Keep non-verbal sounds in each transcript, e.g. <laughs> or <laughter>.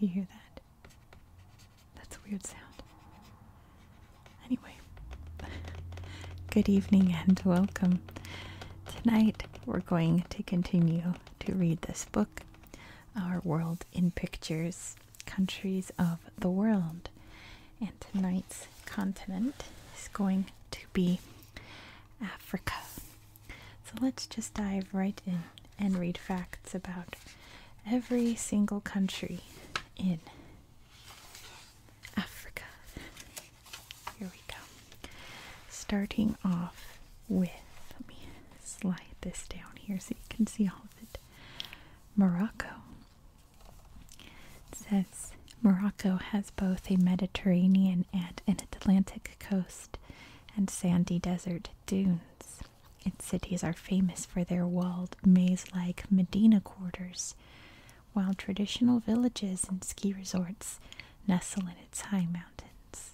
Do you hear that? That's a weird sound. Anyway, <laughs> good evening and welcome. Tonight we're going to continue to read this book, Our World in Pictures countries of the world. And tonight's continent is going to be Africa. So let's just dive right in and read facts about every single country in Africa. Here we go. Starting off with, let me slide this down here so you can see all Morocco. says Morocco has both a Mediterranean and an Atlantic coast and sandy desert dunes. Its cities are famous for their walled, maze like Medina quarters, while traditional villages and ski resorts nestle in its high mountains.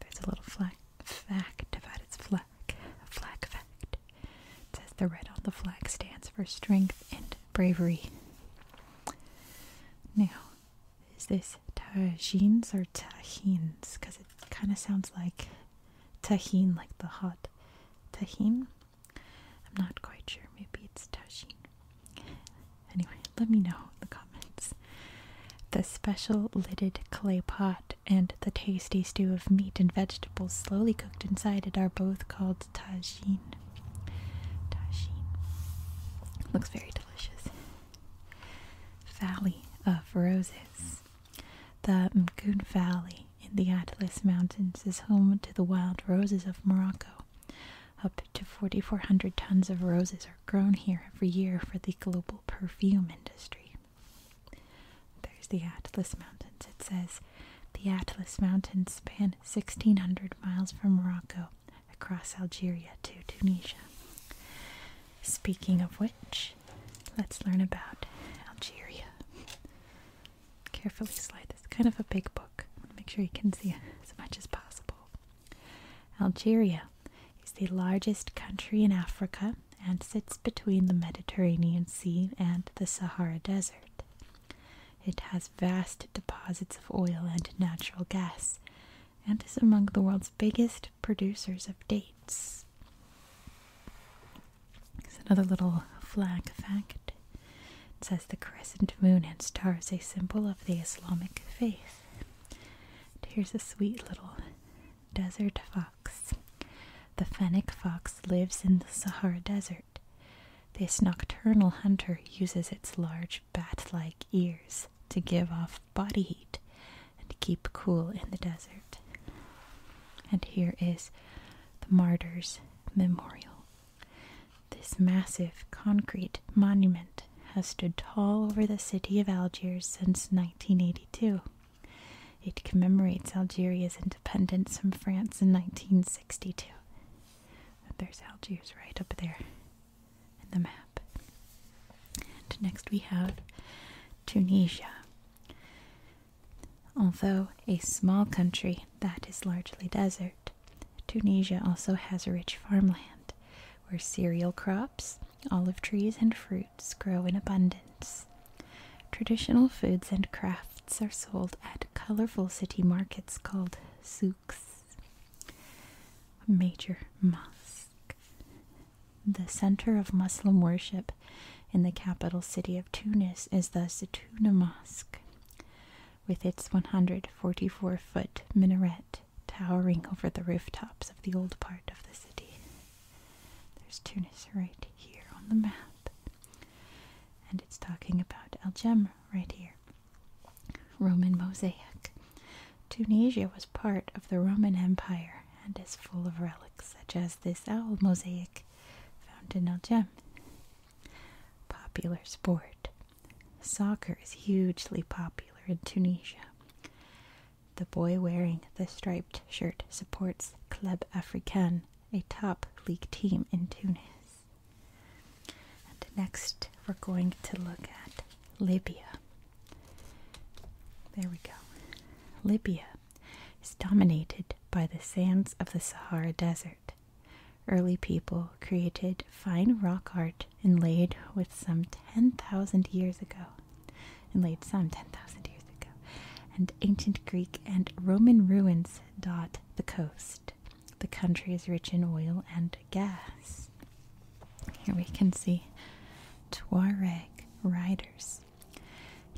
There's a little flag fact about its flag. A flag fact. says the red on the flag stands for strength and bravery. Now, is this tagines or tahines? Because it kind of sounds like tahine, like the hot tahine. I'm not quite sure. Maybe it's tagine. Anyway, let me know in the comments. The special lidded clay pot and the tasty stew of meat and vegetables slowly cooked inside it are both called tagine. Tagine. Looks very delicious. Valley of Roses. The Mgoud Valley in the Atlas Mountains is home to the wild roses of Morocco. Up to 4,400 tons of roses are grown here every year for the global perfume industry. There's the Atlas Mountains. It says the Atlas Mountains span 1600 miles from Morocco across Algeria to Tunisia. Speaking of which, let's learn about Algeria. Carefully slide this. Kind of a big book. Make sure you can see as much as possible. Algeria is the largest country in Africa and sits between the Mediterranean Sea and the Sahara Desert. It has vast deposits of oil and natural gas and is among the world's biggest producers of dates. It's another little flag fact. It says the crescent moon and star is a symbol of the Islamic faith. And here's a sweet little desert fox. The fennec fox lives in the Sahara Desert. This nocturnal hunter uses its large bat like ears to give off body heat and keep cool in the desert. And here is the Martyrs Memorial. This massive concrete monument has stood tall over the city of Algiers since 1982. It commemorates Algeria's independence from France in 1962. There's Algiers right up there in the map. And next we have Tunisia. Although a small country that is largely desert, Tunisia also has rich farmland where cereal crops, olive trees, and fruit grow in abundance. Traditional foods and crafts are sold at colorful city markets called souks. Major mosque. The center of Muslim worship in the capital city of Tunis is the Zaytuna Mosque, with its 144 foot minaret towering over the rooftops of the old part of the city. There's Tunis right here on the map. And it's talking about Al Jamra right here. Roman mosaic. Tunisia was part of the Roman Empire and is full of relics such as this owl mosaic found in Al Jem. Popular sport. Soccer is hugely popular in Tunisia. The boy wearing the striped shirt supports Club Africain, a top league team in Tunis. And next, we're going to look at Libya. There we go. Libya is dominated by the sands of the Sahara Desert. Early people created fine rock art inlaid with some 10,000 years ago in late some 10,000 years ago, and ancient Greek and Roman ruins dot the coast. The country is rich in oil and gas. Here we can see Tuareg riders.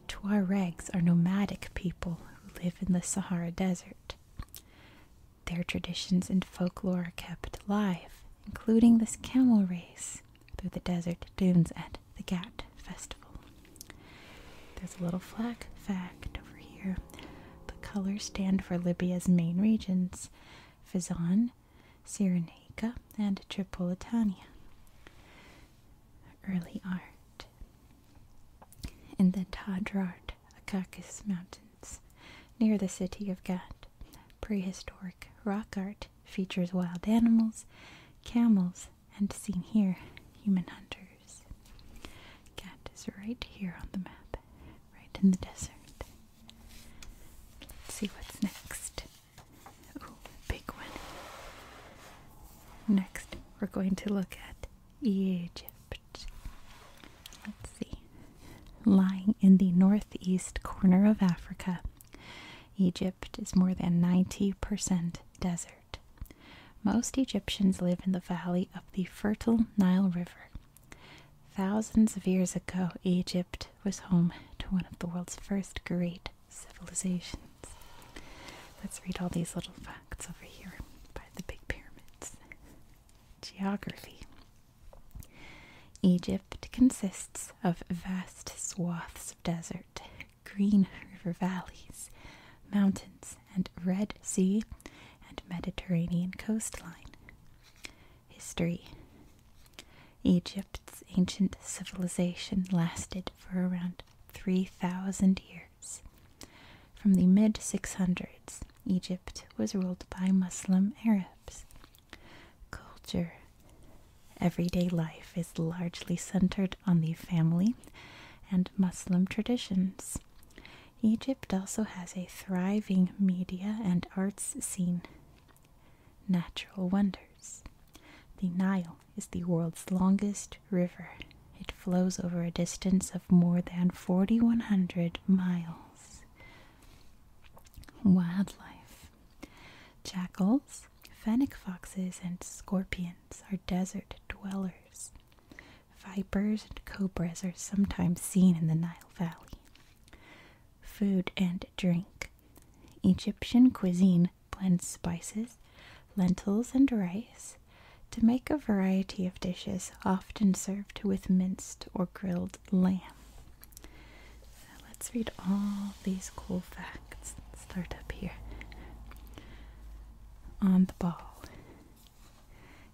Tuaregs are nomadic people who live in the Sahara Desert. Their traditions and folklore are kept alive, including this camel race, through the desert dunes at the Ghat Festival. There's a little flag fact over here. The colors stand for Libya's main regions Fezzan, Cyrenaica, and Tripolitania. Early art. In the Tadrart Akakis Mountains, near the city of Ghat, prehistoric rock art features wild animals, camels, and seen here, human hunters. Cat is right here on the map, right in the desert. Let's see what's next. Oh, big one. Next, we're going to look at Egypt. Let's see. Lying in the northeast corner of Africa Egypt is more than 90% desert. Most Egyptians live in the valley of the fertile Nile River. Thousands of years ago, Egypt was home to one of the world's first great civilizations. Let's read all these little facts over here by the big pyramids. Geography Egypt consists of vast swaths of desert green river valleys, mountains, and Red Sea and Mediterranean coastline. History Egypt's ancient civilization lasted for around 3,000 years. From the mid 600s, Egypt was ruled by Muslim Arabs. Culture Everyday life is largely centered on the family and Muslim traditions. Egypt also has a thriving media and arts scene. Natural wonders. The Nile is the world's longest river. It flows over a distance of more than 4,100 miles. Wildlife. Jackals, fennec foxes, and scorpions are desert dwellers. Vipers and cobras are sometimes seen in the Nile Valley. Food and drink. Egyptian cuisine blends spices, lentils, and rice to make a variety of dishes often served with minced or grilled lamb. let's read all these cool facts. Let's start up here. On the ball.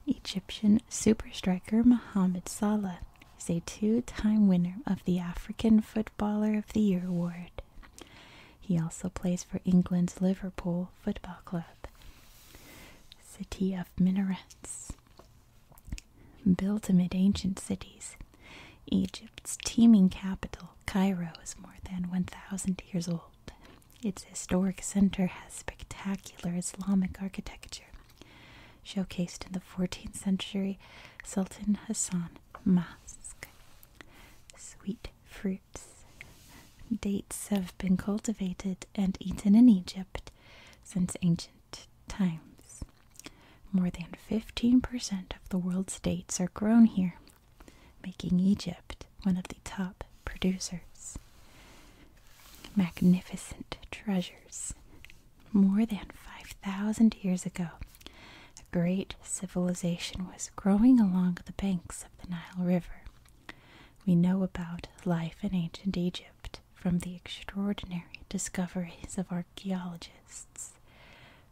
Egyptian super striker Mohamed Salah is a two time winner of the African Footballer of the Year award. He also plays for England's Liverpool Football Club. City of Minarets. Built amid ancient cities, Egypt's teeming capital, Cairo, is more than 1,000 years old. Its historic center has spectacular Islamic architecture, showcased in the 14th century Sultan Hassan Mosque. Sweet fruits. Dates have been cultivated and eaten in Egypt since ancient times. More than 15% of the world's dates are grown here, making Egypt one of the top producers. Magnificent treasures. More than 5,000 years ago, a great civilization was growing along the banks of the Nile River. We know about life in ancient Egypt from the extraordinary discoveries of archaeologists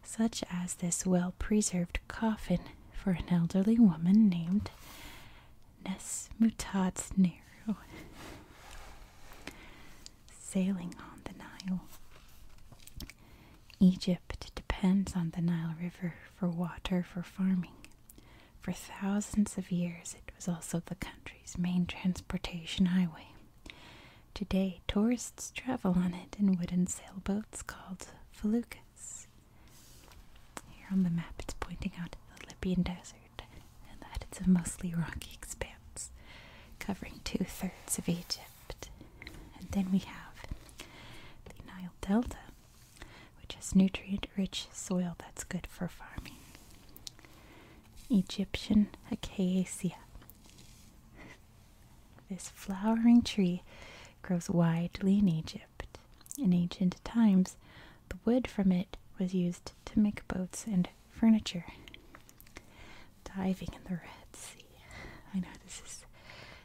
such as this well preserved coffin for an elderly woman named Nesmutat's Nero, sailing on the Nile. Egypt depends on the Nile River for water for farming. For thousands of years, it was also the country's main transportation highway. Today, tourists travel on it in wooden sailboats called Felucas. Here on the map, it's pointing out the Libyan desert and that it's a mostly rocky expanse covering two thirds of Egypt. And then we have the Nile Delta, which has nutrient rich soil that's good for farming. Egyptian Acacia. This flowering tree grows widely in Egypt. In ancient times, the wood from it was used to make boats and furniture. Diving in the Red Sea. I know this is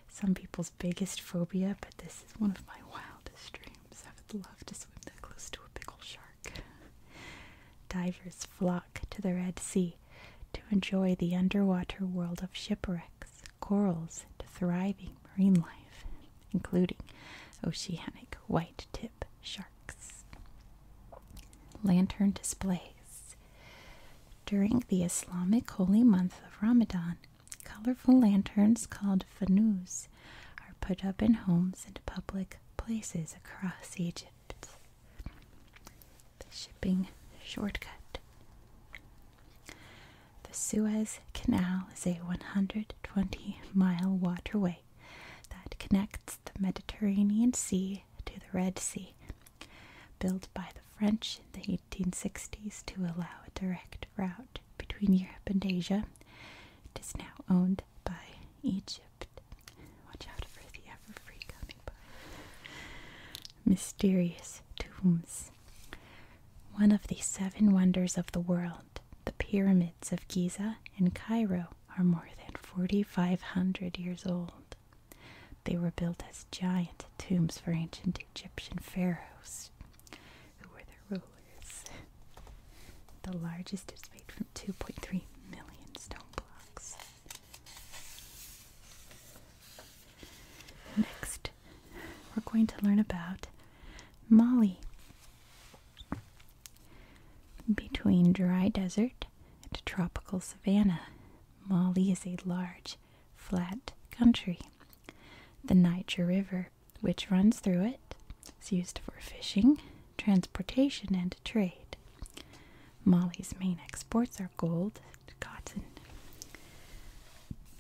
some people's biggest phobia, but this is one of my wildest dreams. I would love to swim that close to a pickle shark. Divers flock to the Red Sea to enjoy the underwater world of shipwrecks, corals, and thriving marine life, including oceanic white tip sharks. Lantern displays. During the Islamic holy month of Ramadan, colorful lanterns called fanus are put up in homes and public places across Egypt the shipping shortcut. The Suez Canal is a 120 mile waterway that connects the Mediterranean Sea to the Red Sea, built by the French in the 1860s to allow a direct route between Europe and Asia. It is now owned by Egypt. Watch out for the ever coming mysterious tombs. One of the seven wonders of the world, the pyramids of Giza in Cairo, are more than 4,500 years old. They were built as giant tombs for ancient Egyptian pharaohs, who were their rulers. The largest is made from 2.3 million stone blocks. Next we're going to learn about Mali. Between dry desert and tropical savanna, Mali is a large, flat country. The Niger River, which runs through it, is used for fishing, transportation, and trade. Mali's main exports are gold and cotton.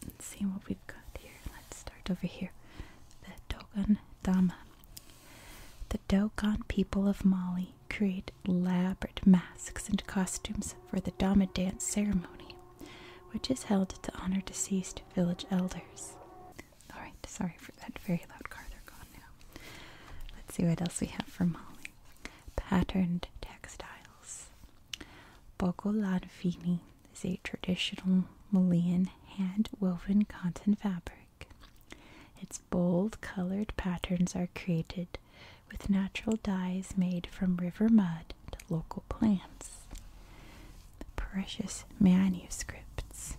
Let's see what we've got here. Let's start over here. The Dogon Dama. The Dogon people of Mali create elaborate masks and costumes for the Dama dance ceremony, which is held to honor deceased village elders. Alright, sorry for that very loud car. They're gone now. Let's see what else we have for Mali. Patterned textiles. Bogolantini is a traditional Malian hand-woven cotton fabric. Its bold colored patterns are created with natural dyes made from river mud to local plants. The precious manuscripts.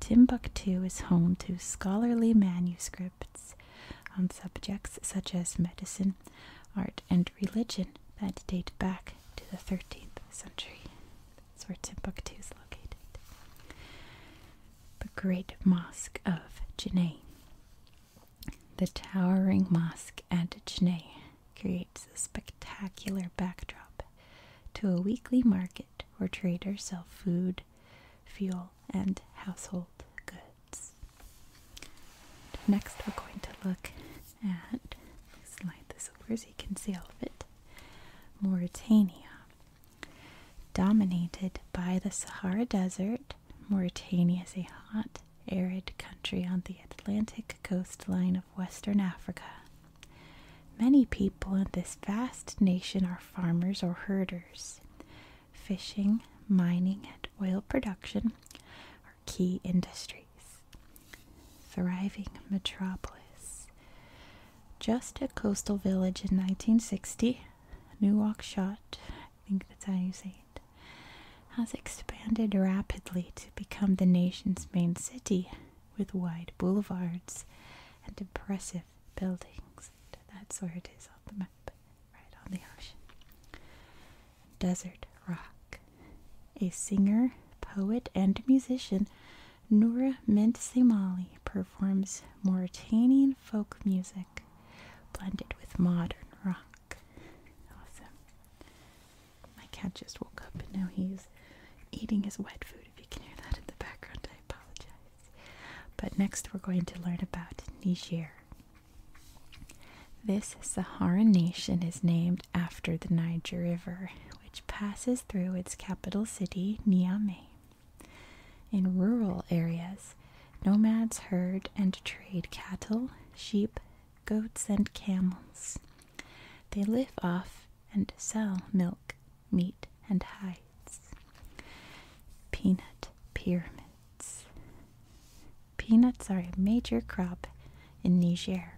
Timbuktu is home to scholarly manuscripts on subjects such as medicine art, and religion that date back to the 13th century. That's where Timbuktu is located. The Great Mosque of Janneh. The towering mosque at Janneh creates a spectacular backdrop to a weekly market where traders sell food, fuel, and household goods. Next, we're going to look at slide this over so you can see all of it. Mauritania. Dominated by the Sahara Desert, Mauritania is a hot, arid country on the Atlantic coastline of Western Africa. Many people in this vast nation are farmers or herders. Fishing, mining, and oil production key industries. Thriving metropolis. Just a coastal village in 1960, Newark Shot, I think that's how you say it, has expanded rapidly to become the nation's main city with wide boulevards and impressive buildings. That's where it is on the map right on the ocean. Desert Rock. A singer, poet, and musician, Noura Mint Semali performs Mauritanian folk music blended with modern rock. Awesome. My cat just woke up and now he's eating his wet food. If you can hear that in the background, I apologize. But next, we're going to learn about Niger. This Saharan nation is named after the Niger River, which passes through its capital city, Niamey. In rural areas, nomads herd and trade cattle, sheep, goats, and camels. They live off and sell milk, meat, and hides. Peanut Pyramid peanuts. are a major crop in Niger.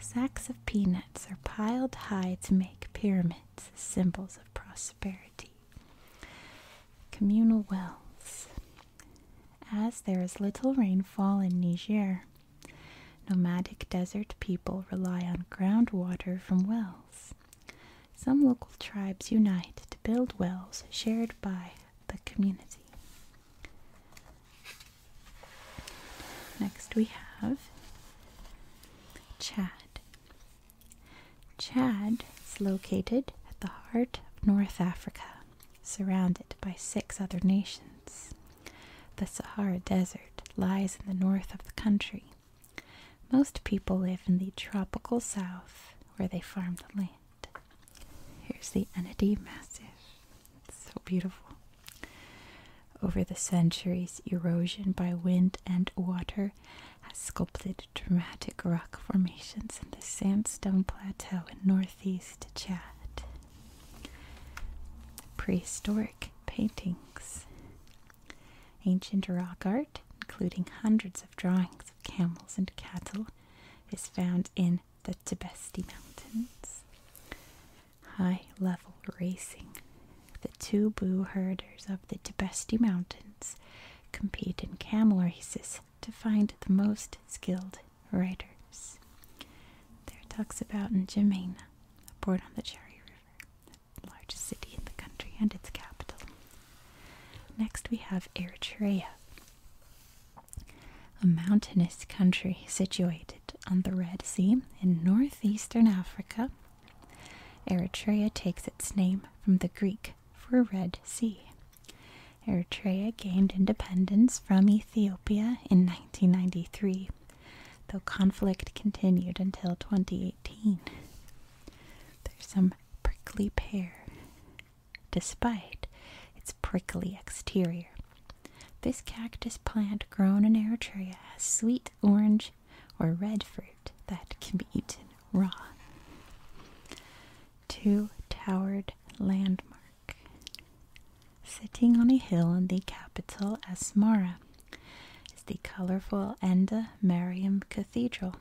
Sacks of peanuts are piled high to make pyramids, symbols of prosperity. Communal wells. As there is little rainfall in Niger, nomadic desert people rely on groundwater from wells. Some local tribes unite to build wells shared by the community. Next, we have Chad. Chad is located at the heart of North Africa, surrounded by six other nations. The Sahara Desert lies in the north of the country. Most people live in the tropical south where they farm the land. Here's the Enity Massif. so beautiful. Over the centuries, erosion by wind and water has sculpted dramatic rock formations in the sandstone plateau in northeast Chad. Prehistoric paintings. Ancient rock art, including hundreds of drawings of camels and cattle, is found in the Tibesti Mountains. High level racing. The two Boo herders of the Tibesti Mountains compete in camel races to find the most skilled riders. There are talks about in N'Djamena, a port on the Cherry River, the largest city in the country and its capital. Next we have Eritrea a mountainous country situated on the Red Sea in northeastern Africa. Eritrea takes its name from the Greek for Red Sea. Eritrea gained independence from Ethiopia in 1993, though conflict continued until 2018. There's some prickly pear despite its prickly exterior. This cactus plant grown in Eritrea has sweet orange or red fruit that can be eaten raw. Two Towered Landmark Sitting on a hill in the capital Asmara is the colorful Enda Mariam Cathedral.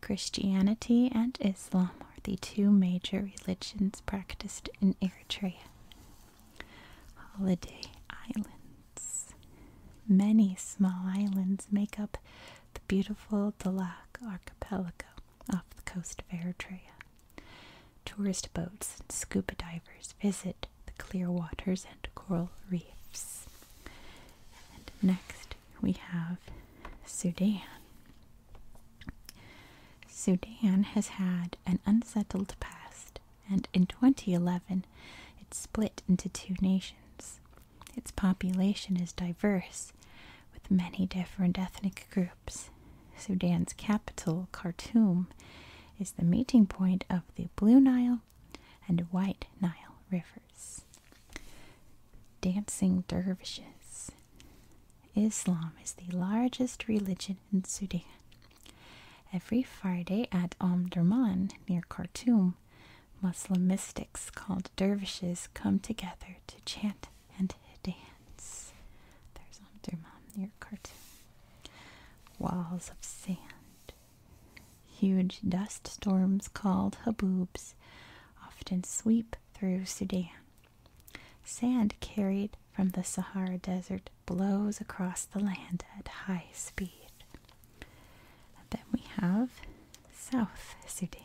Christianity and Islam are the two major religions practiced in Eritrea. Holiday Islands. Many small islands make up the beautiful Dalak archipelago off the coast of Eritrea. Tourist boats and scuba divers visit the clear waters and coral reefs. And next we have Sudan. Sudan has had an unsettled past, and in 2011 it split into two nations. Its population is diverse, with many different ethnic groups. Sudan's capital, Khartoum, is the meeting point of the Blue Nile and White Nile rivers. Dancing dervishes. Islam is the largest religion in Sudan. Every Friday at Omdurman near Khartoum, Muslim mystics called dervishes come together to chant and dance. There's Omdurman near Khartoum. Walls of sand. Huge dust storms called haboobs often sweep through Sudan, Sand carried from the Sahara Desert blows across the land at high speed. then we have South Sudan.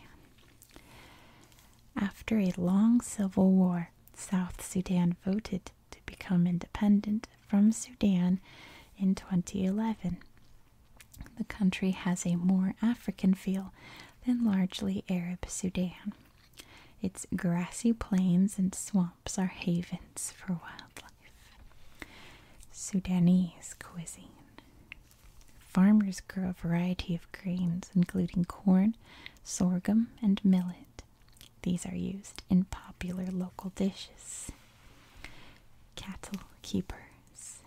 After a long civil war, South Sudan voted to become independent from Sudan in 2011. The country has a more African feel than largely Arab Sudan. Its grassy plains and swamps are havens for wildlife. Sudanese cuisine. Farmers grow a variety of grains, including corn, sorghum, and millet. These are used in popular local dishes. Cattle keepers.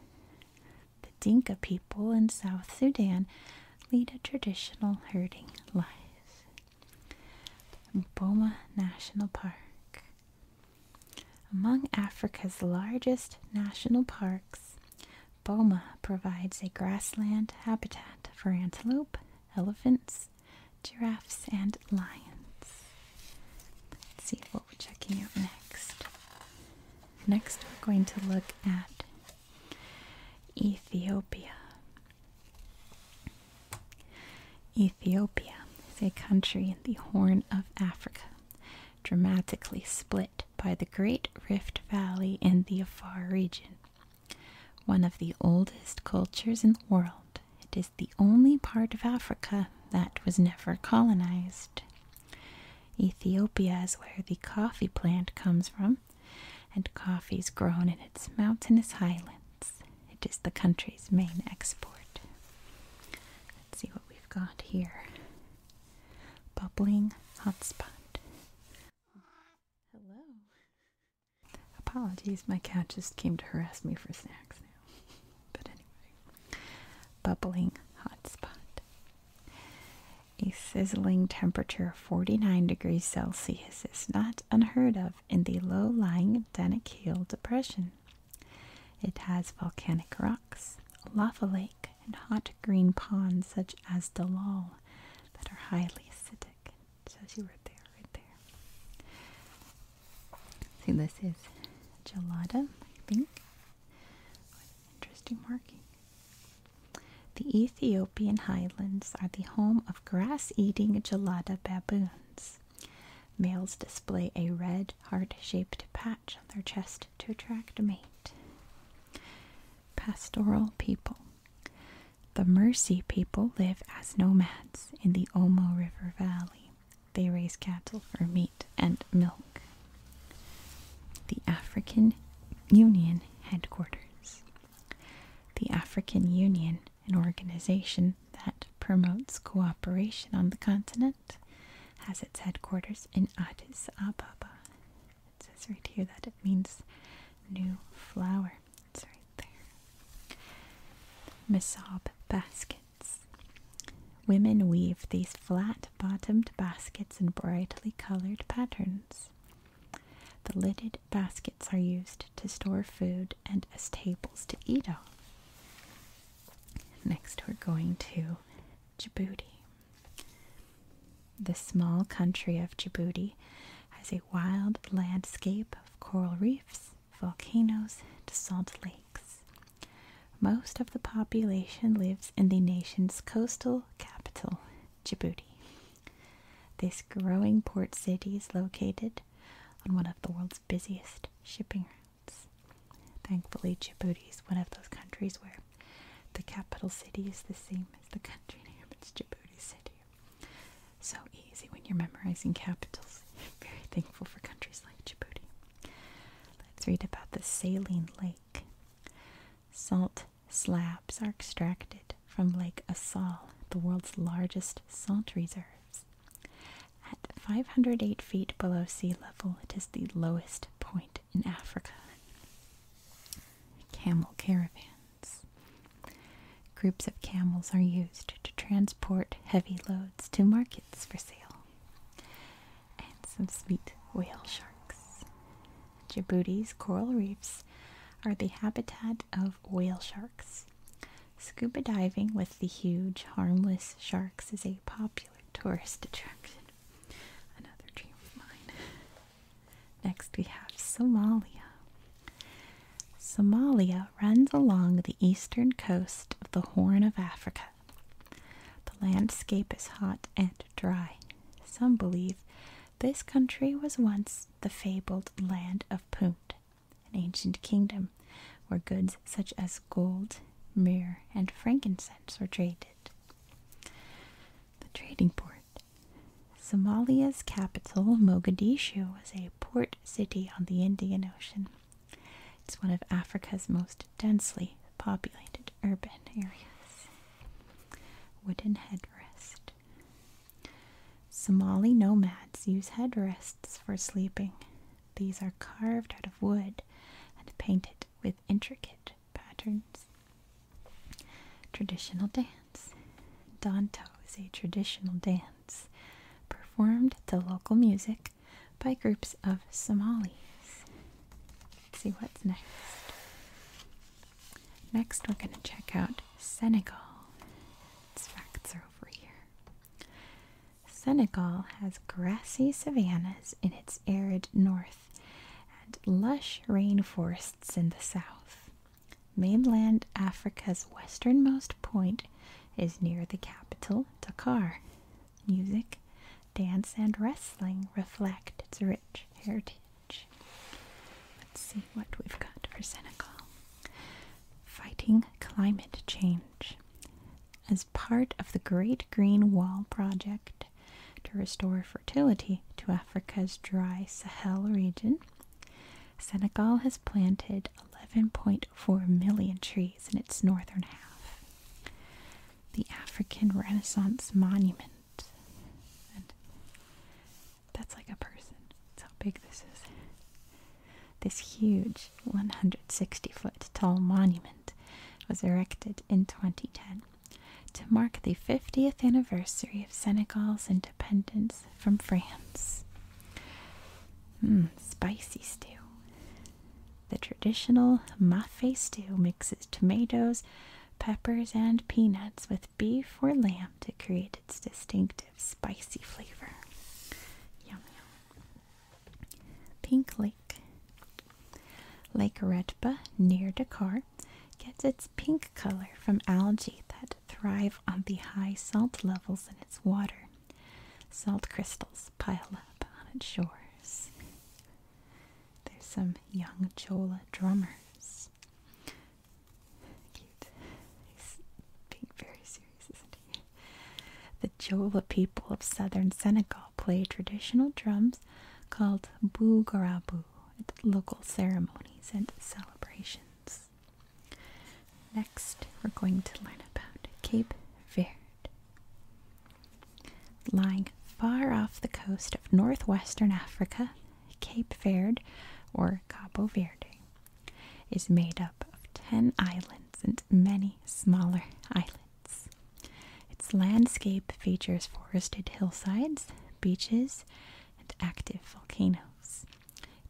The Dinka people in South Sudan lead a traditional herding life. Boma National Park. Among Africa's largest national parks, Boma provides a grassland habitat for antelope, elephants, giraffes, and lions. Let's see what we're checking out next. Next, we're going to look at Ethiopia. Ethiopia is a country in the Horn of Africa, dramatically split by the Great Rift Valley in the Afar region. One of the oldest cultures in the world, it is the only part of Africa that was never colonized. Ethiopia is where the coffee plant comes from, and coffee is grown in its mountainous highlands. It is the country's main export. Let's see what we've got here. Bubbling hot spot. Hello. Apologies, my cat just came to harass me for snacks now. But anyway, bubbling hot spot. A sizzling temperature of 49 degrees Celsius is not unheard of in the low lying Danakil Depression. It has volcanic rocks, lava lake, and hot green ponds such as Dalal that are highly acidic. So says you there, right there. See, this is gelada, I think. Interesting marking. The Ethiopian highlands are the home of grass eating gelada baboons. Males display a red, heart shaped patch on their chest to attract a mate. Pastoral people. The Mercy people live as nomads in the Omo River Valley. They raise cattle for meat and milk. The African Union headquarters. The African Union, an organization that promotes cooperation on the continent, has its headquarters in Addis Ababa. It says right here that it means new flower. It's right there. Misab baskets. Women weave these flat bottomed baskets in brightly colored patterns. The lidded baskets are used to store food and as tables to eat off. Next, we're going to Djibouti. The small country of Djibouti has a wild landscape of coral reefs, volcanoes, and salt lakes. Most of the population lives in the nation's coastal capital, Djibouti. This growing port city is located on one of the world's busiest shipping routes. Thankfully, Djibouti is one of those countries where the capital city is the same as the country name. It's Djibouti City. So easy when you're memorizing capitals. <laughs> Very thankful for countries like Djibouti. Let's read about the saline lake. Salt Slabs are extracted from Lake Assal, the world's largest salt reserves. At 508 feet below sea level, it is the lowest point in Africa. Camel caravans. Groups of camels are used to transport heavy loads to markets for sale. And some sweet whale sharks. Djibouti's coral reefs are the habitat of whale sharks. Scuba diving with the huge, harmless sharks is a popular tourist attraction. Another dream of mine. <laughs> Next, we have Somalia. Somalia runs along the eastern coast of the Horn of Africa. The landscape is hot and dry. Some believe this country was once the fabled land of Punt, an ancient kingdom where goods such as gold, myrrh, and frankincense were traded. The trading port. Somalia's capital, Mogadishu, is a port city on the Indian Ocean. It's one of Africa's most densely populated urban areas. Wooden headrest. Somali nomads use headrests for sleeping. These are carved out of wood and painted with intricate patterns. Traditional dance. Danto is a traditional dance performed to local music by groups of Somalis. Let's see what's next. Next, we're going to check out Senegal. facts are over here. Senegal has grassy savannas in its arid north and lush rainforests in the south. Mainland Africa's westernmost point is near the capital, Dakar. Music, dance, and wrestling reflect its rich heritage. Let's see what we've got for Senegal. Fighting climate change. As part of the Great Green Wall Project to restore fertility to Africa's dry Sahel region, Senegal has planted 11.4 million trees in its northern half. The African Renaissance Monument. That's like a person. That's how big this is. This huge 160 foot tall monument was erected in 2010 to mark the 50th anniversary of Senegal's independence from France. Hmm, spicy stew. The traditional mafe stew mixes tomatoes, peppers, and peanuts with beef or lamb to create its distinct spicy flavor. Yum yum. Pink Lake. Lake Redba near Dakar gets its pink color from algae that thrive on the high salt levels in its water. Salt crystals pile up on its shores. There's some young Jola drummers very serious, isn't he? The Jola people of southern Senegal play traditional drums called bougarabu at local ceremonies and celebrations. Next, we're going to learn about Cape Verde. Lying far off the coast of northwestern Africa, Cape Verde, or Cabo Verde, is made up of 10 islands and many smaller islands. Its landscape features forested hillsides, beaches, and active volcanoes.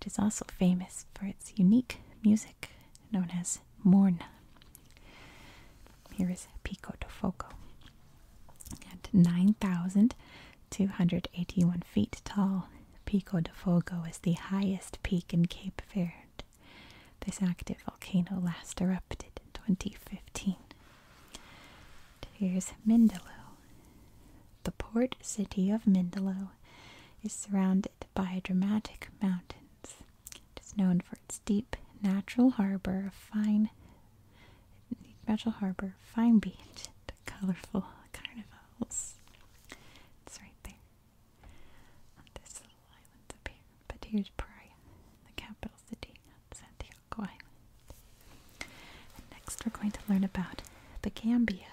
It is also famous for its unique music known as morna. Here is Pico de Foco. At 9,000 281 feet tall, Pico de Fogo is the highest peak in Cape Verde. This active volcano last erupted in 2015. Here's Mindelo. The port city of Mindelo is surrounded by dramatic mountains. It is known for its deep natural harbor of fine natural harbor, fine beach, and a colorful carnival. It's right there. On this little island up here. But here's Praia, the capital city of Santiago next we're going to learn about the Gambia.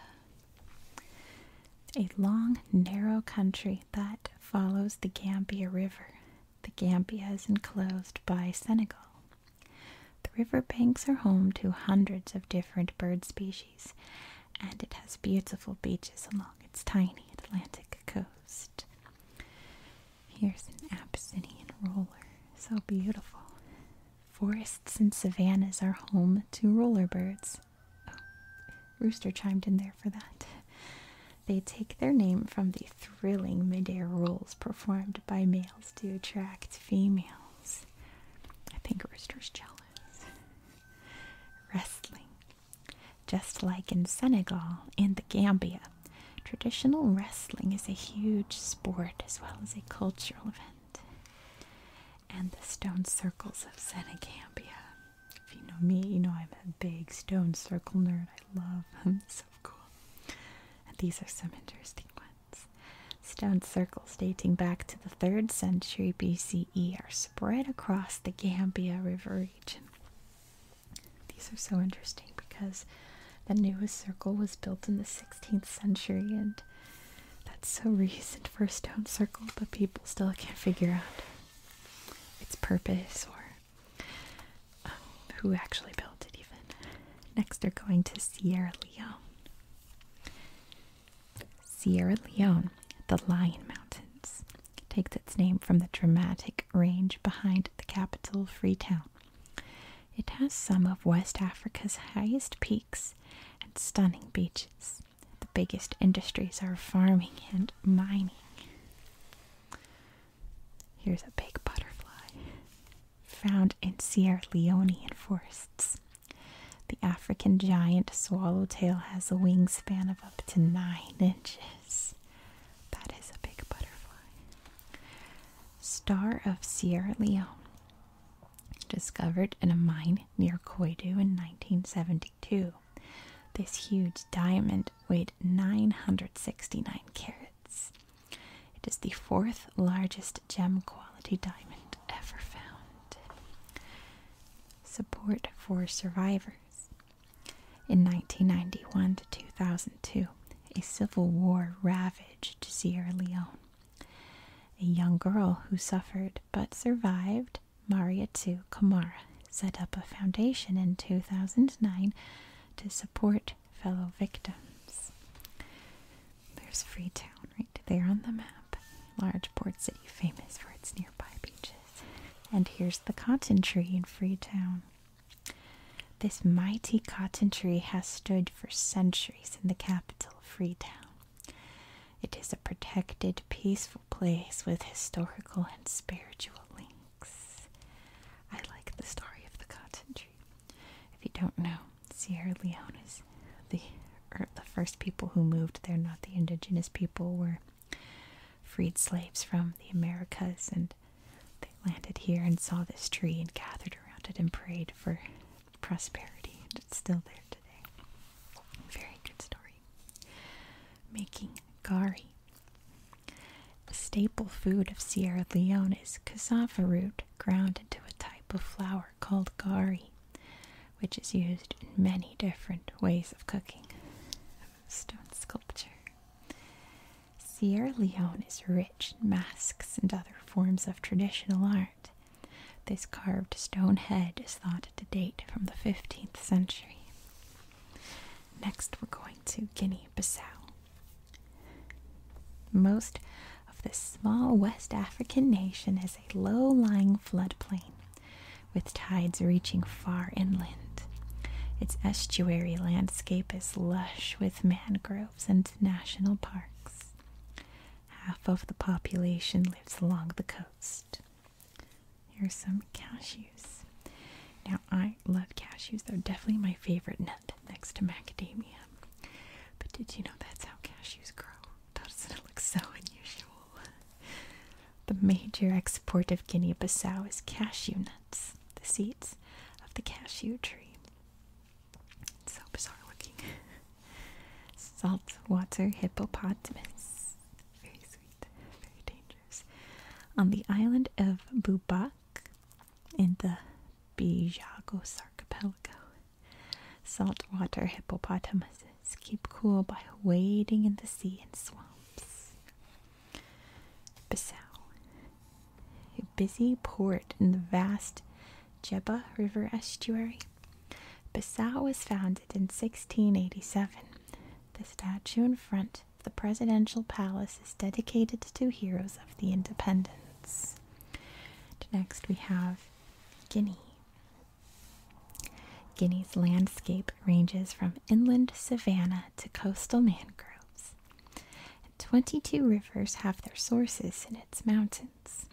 A long, narrow country that follows the Gambia River. The Gambia is enclosed by Senegal. The river banks are home to hundreds of different bird species and it has beautiful beaches along its tiny Atlantic coast. Here's an Abyssinian roller, so beautiful. Forests and savannas are home to roller birds. Oh, Rooster chimed in there for that. They take their name from the thrilling midair rolls performed by males to attract females. I think Rooster's jealous. Wrestling. Just like in Senegal and the Gambia, traditional wrestling is a huge sport as well as a cultural event. And the stone circles of Senegambia. If you know me, you know I'm a big stone circle nerd. I love them. so cool. And these are some interesting ones. Stone circles dating back to the 3rd century BCE are spread across the Gambia River region. These are so interesting because the newest circle was built in the 16th century, and that's so recent for a stone circle, but people still can't figure out its purpose or um, who actually built it, even. Next, they're going to Sierra Leone. Sierra Leone, the Lion Mountains, takes its name from the dramatic range behind the capital, Freetown. It has some of West Africa's highest peaks and stunning beaches. The biggest industries are farming and mining. Here's a big butterfly found in Sierra Leonean forests. The African giant swallowtail has a wingspan of up to 9 inches. That is a big butterfly. Star of Sierra Leone. Discovered in a mine near Koidu in 1972. This huge diamond weighed 969 carats. It is the fourth largest gem quality diamond ever found. Support for survivors. In 1991 to 2002, a civil war ravaged Sierra Leone. A young girl who suffered but survived, Mariatu Kamara, set up a foundation in 2009 to support fellow victims. There's Freetown right there on the map. Large port city famous for its nearby beaches. And here's the cotton tree in Freetown. This mighty cotton tree has stood for centuries in the capital, Freetown. It is a protected, peaceful place with historical and spiritual links. I like the story of the cotton tree. If you don't know, Sierra Leone is the er, the first people who moved there, not the indigenous people, were freed slaves from the Americas, and they landed here and saw this tree and gathered around it and prayed for prosperity, and it's still there today. Very good story. Making gari. The staple food of Sierra Leone is cassava root ground into a type of flour called gari, which is used in many different ways of cooking. Stone sculpture. Sierra Leone is rich in masks and other forms of traditional art. This carved stone head is thought to date from the 15th century. Next, we're going to Guinea Bissau. Most of this small West African nation is low lying floodplain with tides reaching far inland. Its estuary landscape is lush with mangroves and national parks. Half of the population lives along the coast. Here's some cashews. Now, I love cashews, they're definitely my favorite nut next to macadamia. But did you know that's how cashews grow? doesn't look so unusual. The major export of Guinea-Bissau is cashew nuts, the seeds of the cashew tree. so bizarre looking. Saltwater hippopotamus. Very sweet, very dangerous. On the island of Bubac in the Bijago archipelago, Saltwater hippopotamuses keep cool by wading in the sea and swamps. Bissau, a busy port in the vast Jebba River estuary. Bissau was founded in 1687. The statue in front of the presidential palace is dedicated to heroes of the independence. Next, we have Guinea. Guinea's landscape ranges from inland savanna to coastal mangroves. 22 rivers have their sources in its mountains.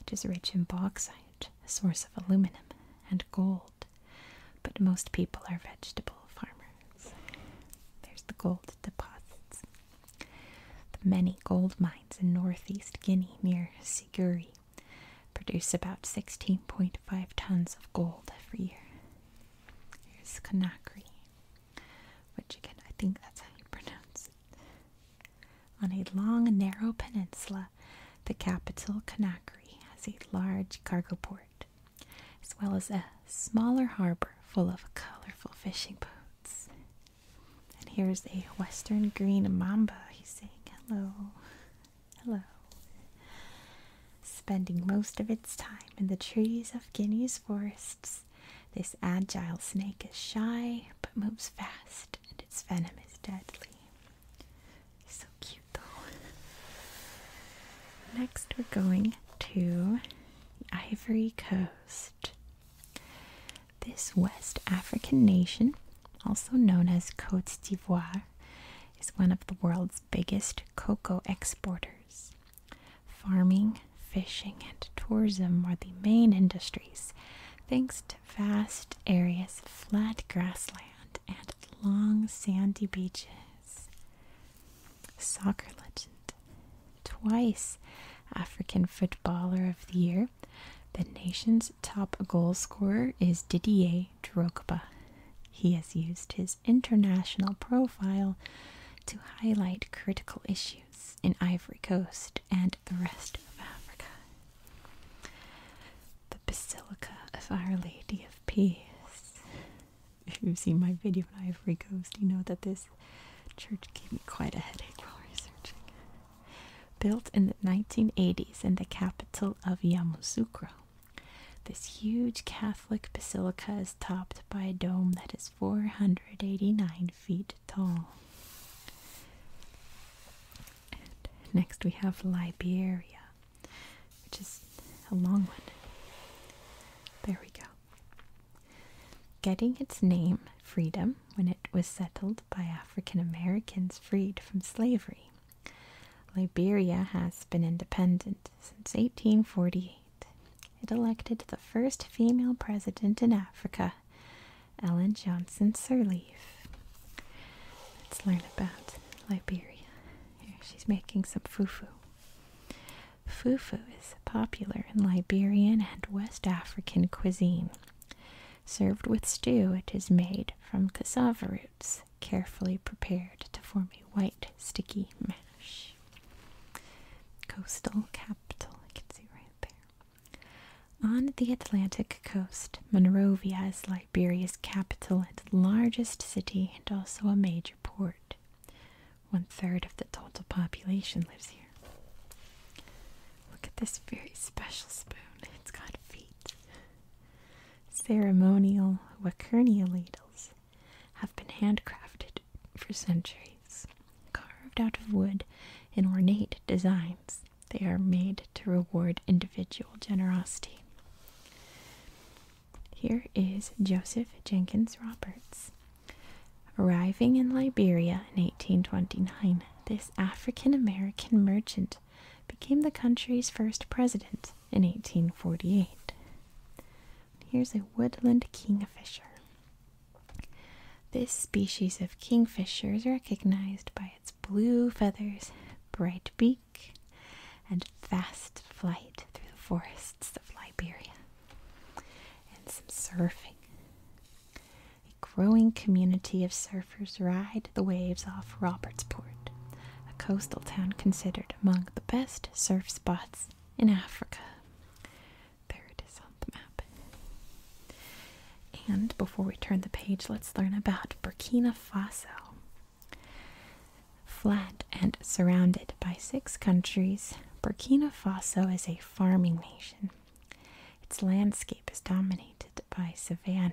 It is rich in bauxite, a source of aluminum and gold. But most people are vegetable farmers. There's the gold deposits. The many gold mines in northeast Guinea near Siguri produce about 16.5 tons of gold every year. Here's Conakry, which again, I think that's how you pronounce it. On a long, narrow peninsula, the capital, Conakry, has a large cargo port, as well as a smaller harbor full of colorful fishing boats. And here's a western green mamba. He's saying hello. Hello. Spending most of its time in the trees of Guinea's forests, this agile snake is shy but moves fast, and its venom is deadly. So cute, though. Next, we're going to Ivory Coast. This West African nation, also known as Cote d'Ivoire, is one of the world's biggest cocoa exporters. Farming, fishing, and tourism are the main industries, thanks to vast areas of flat grassland and long sandy beaches. Soccer legend. Twice African Footballer of the Year, the nation's top goal scorer is Didier Drogba. He has used his international profile to highlight critical issues in Ivory Coast and the rest of Africa. The Basilica of Our Lady of Peace. If you've seen my video on Ivory Coast, you know that this church gave me quite a headache while researching. Built in the 1980s in the capital of Yamoussoukro, this huge Catholic basilica is topped by a dome that is 489 feet tall. next we have Liberia, which is a long one. There we go. Getting its name, freedom, when it was settled by African Americans freed from slavery. Liberia has been independent since 1848. It elected the first female president in Africa, Ellen Johnson Sirleaf. Let's learn about Liberia. Here, she's making some fufu. Fufu is popular in Liberian and West African cuisine. Served with stew, it is made from cassava roots, carefully prepared to form a white, sticky mash. Coastal capital, I can see right there. On the Atlantic coast, Monrovia is Liberia's capital and largest city, and also a major port. One third of the total population lives here. Look at this very special spoon. It's got feet ceremonial Wakernia ladles have been handcrafted for centuries. Carved out of wood in ornate designs, they are made to reward individual generosity. Here is Joseph Jenkins Roberts. Arriving in Liberia in 1829, this African American merchant became the country's first president in 1848. Here's a woodland kingfisher. This species of kingfisher is recognized by its blue feathers, bright beak, and fast flight through the forests of Liberia. And some surfing. A growing community of surfers ride the waves off Robertsport, a coastal town considered among the best surf spots in Africa. There it is on the map. And before we turn the page, let's learn about Burkina Faso. Flat and surrounded by six countries, Burkina Faso is a farming nation. Its landscape is dominated by savanna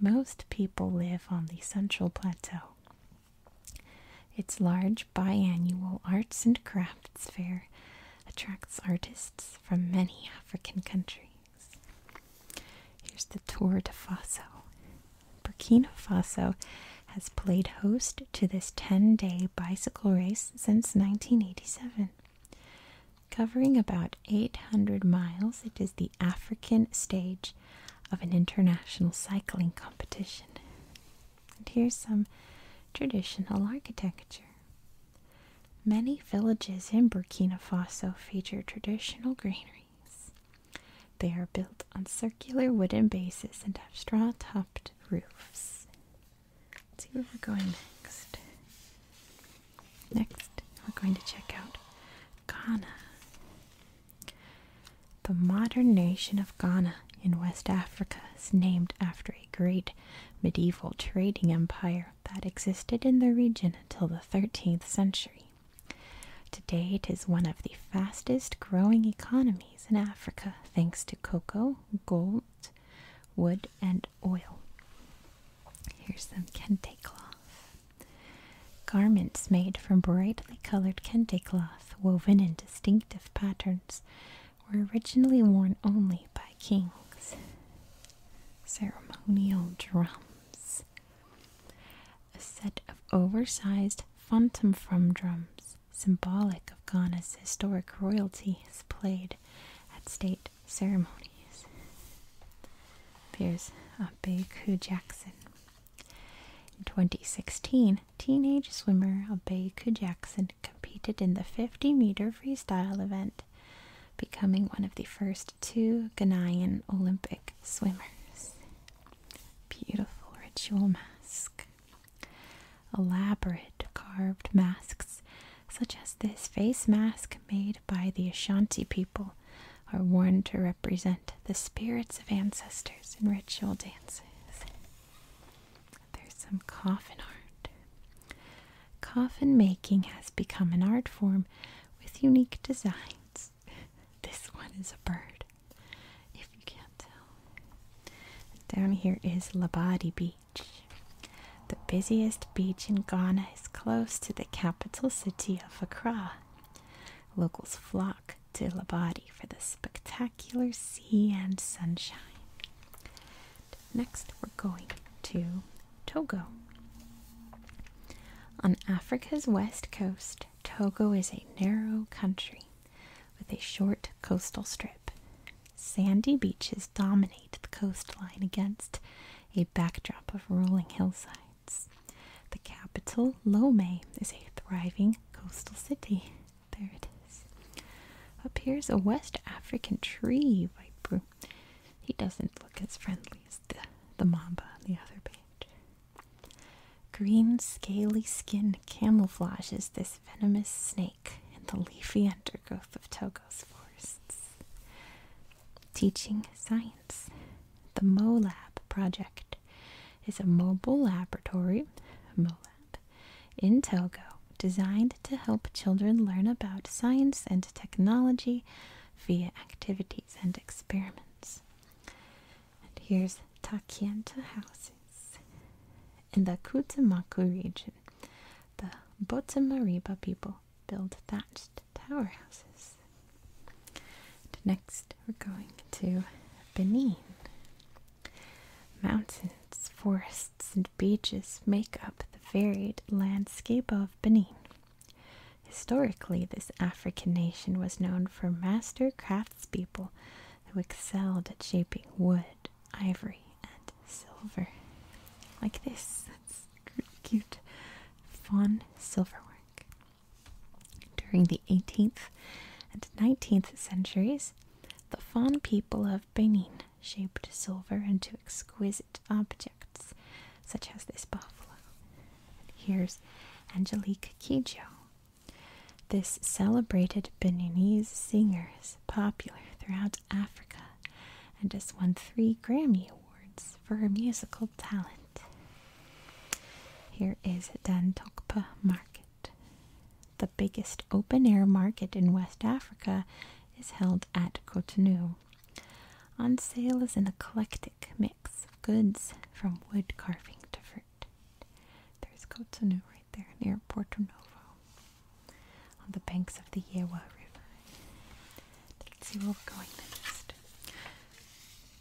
most people live on the Central Plateau. Its large biannual arts and crafts fair attracts artists from many African countries. Here's the Tour de Faso. Burkina Faso has played host to this 10 day bicycle race since 1987. Covering about 800 miles, it is the African stage of an international cycling competition. And here's some traditional architecture. Many villages in Burkina Faso feature traditional granaries. They are built on circular wooden bases and have straw topped roofs. Let's see where we're going next. Next, we're going to check out Ghana. The modern nation of Ghana in West Africa is named after a great medieval trading empire that existed in the region until the 13th century. Today, it is one of the fastest growing economies in Africa thanks to cocoa, gold, wood, and oil. Here's some kente cloth. Garments made from brightly colored kente cloth woven in distinctive patterns were originally worn only by kings. Ceremonial drums. A set of oversized phantom from drums, symbolic of Ghana's historic royalty, is played at state ceremonies. Appears Abe Ku Jackson. In 2016, teenage swimmer Abe Ku Jackson competed in the 50 meter freestyle event, becoming one of the first two Ghanaian Olympic swimmers. Beautiful ritual mask. Elaborate carved masks, such as this face mask made by the Ashanti people, are worn to represent the spirits of ancestors in ritual dances. There's some coffin art. Coffin making has become an art form with unique designs. This one is a bird, if you can tell. Down here is Labadi Beach. The busiest beach in Ghana is close to the capital city of Accra. Locals flock to Labadi for the spectacular sea and sunshine. Next, we're going to Togo. On Africa's west coast, Togo is a narrow country with a short coastal strip. Sandy beaches dominate the coastline against a backdrop of rolling hillsides. The capital, Lomé, is a thriving coastal city. There it is. Up here is a West African tree viper. He doesn't look as friendly as the, the mamba on the other page. Green, scaly skin camouflages this venomous snake in the leafy undergrowth of Togo's forests. Teaching Science. The MoLab project is a mobile laboratory MoLab, in Togo designed to help children learn about science and technology via activities and experiments. And here's Takienta houses in the Kutamaku region. The Botamariba people build thatched tower houses. next, we're going to Benin. Mountains, forests, and beaches make up the varied landscape of Benin. Historically, this African nation was known for master craftspeople who excelled at shaping wood, ivory, and silver. Like this. That's cute. Fawn silverwork. During the 18th and 19th centuries, the Fon people of Benin shaped silver into exquisite objects, such as this buffalo. here's Angelique Kidjo. This celebrated Beninese singer is popular throughout Africa and has won three Grammy Awards for her musical local talent. Here is Dantokpa Market. The biggest open air market in West Africa is held at Cotonou. On sale is an eclectic mix of goods from wood carving to fruit. There's Cotonou right there near Porto Novo on the banks of the Yewa River. Let's see where we're going next.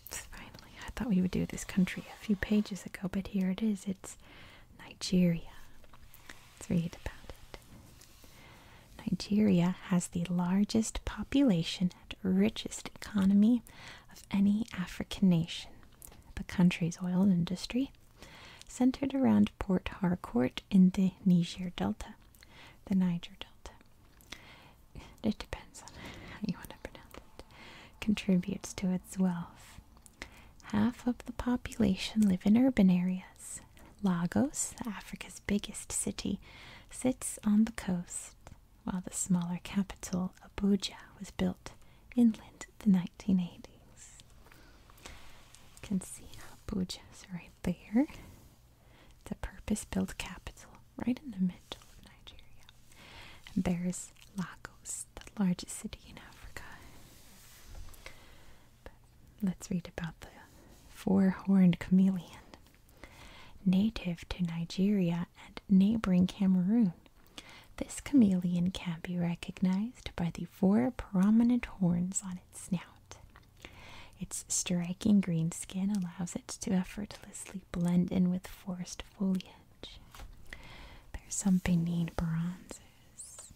Finally, I thought we would do this country a few pages ago, but here it is. It's Nigeria. Let's read about it. Nigeria has the largest population and richest economy of any African nation. The country's oil industry, centered around Port Harcourt in the Niger Delta, the Niger Delta, it depends on how you want to pronounce it, contributes to its wealth. Half of the population live in urban areas. Lagos, Africa's biggest city, sits on the coast, while the smaller capital, Abuja, was built inland in the 1980s. You can see Abuja's right there. The purpose built capital right in the middle of Nigeria. And there's Lagos, the largest city in Africa. let's read about the four horned chameleon. Native to Nigeria and neighboring Cameroon, this chameleon can be recognized by the four prominent horns on its snout. Its striking green skin allows it to effortlessly blend in with forest foliage. There's some Benin bronzes.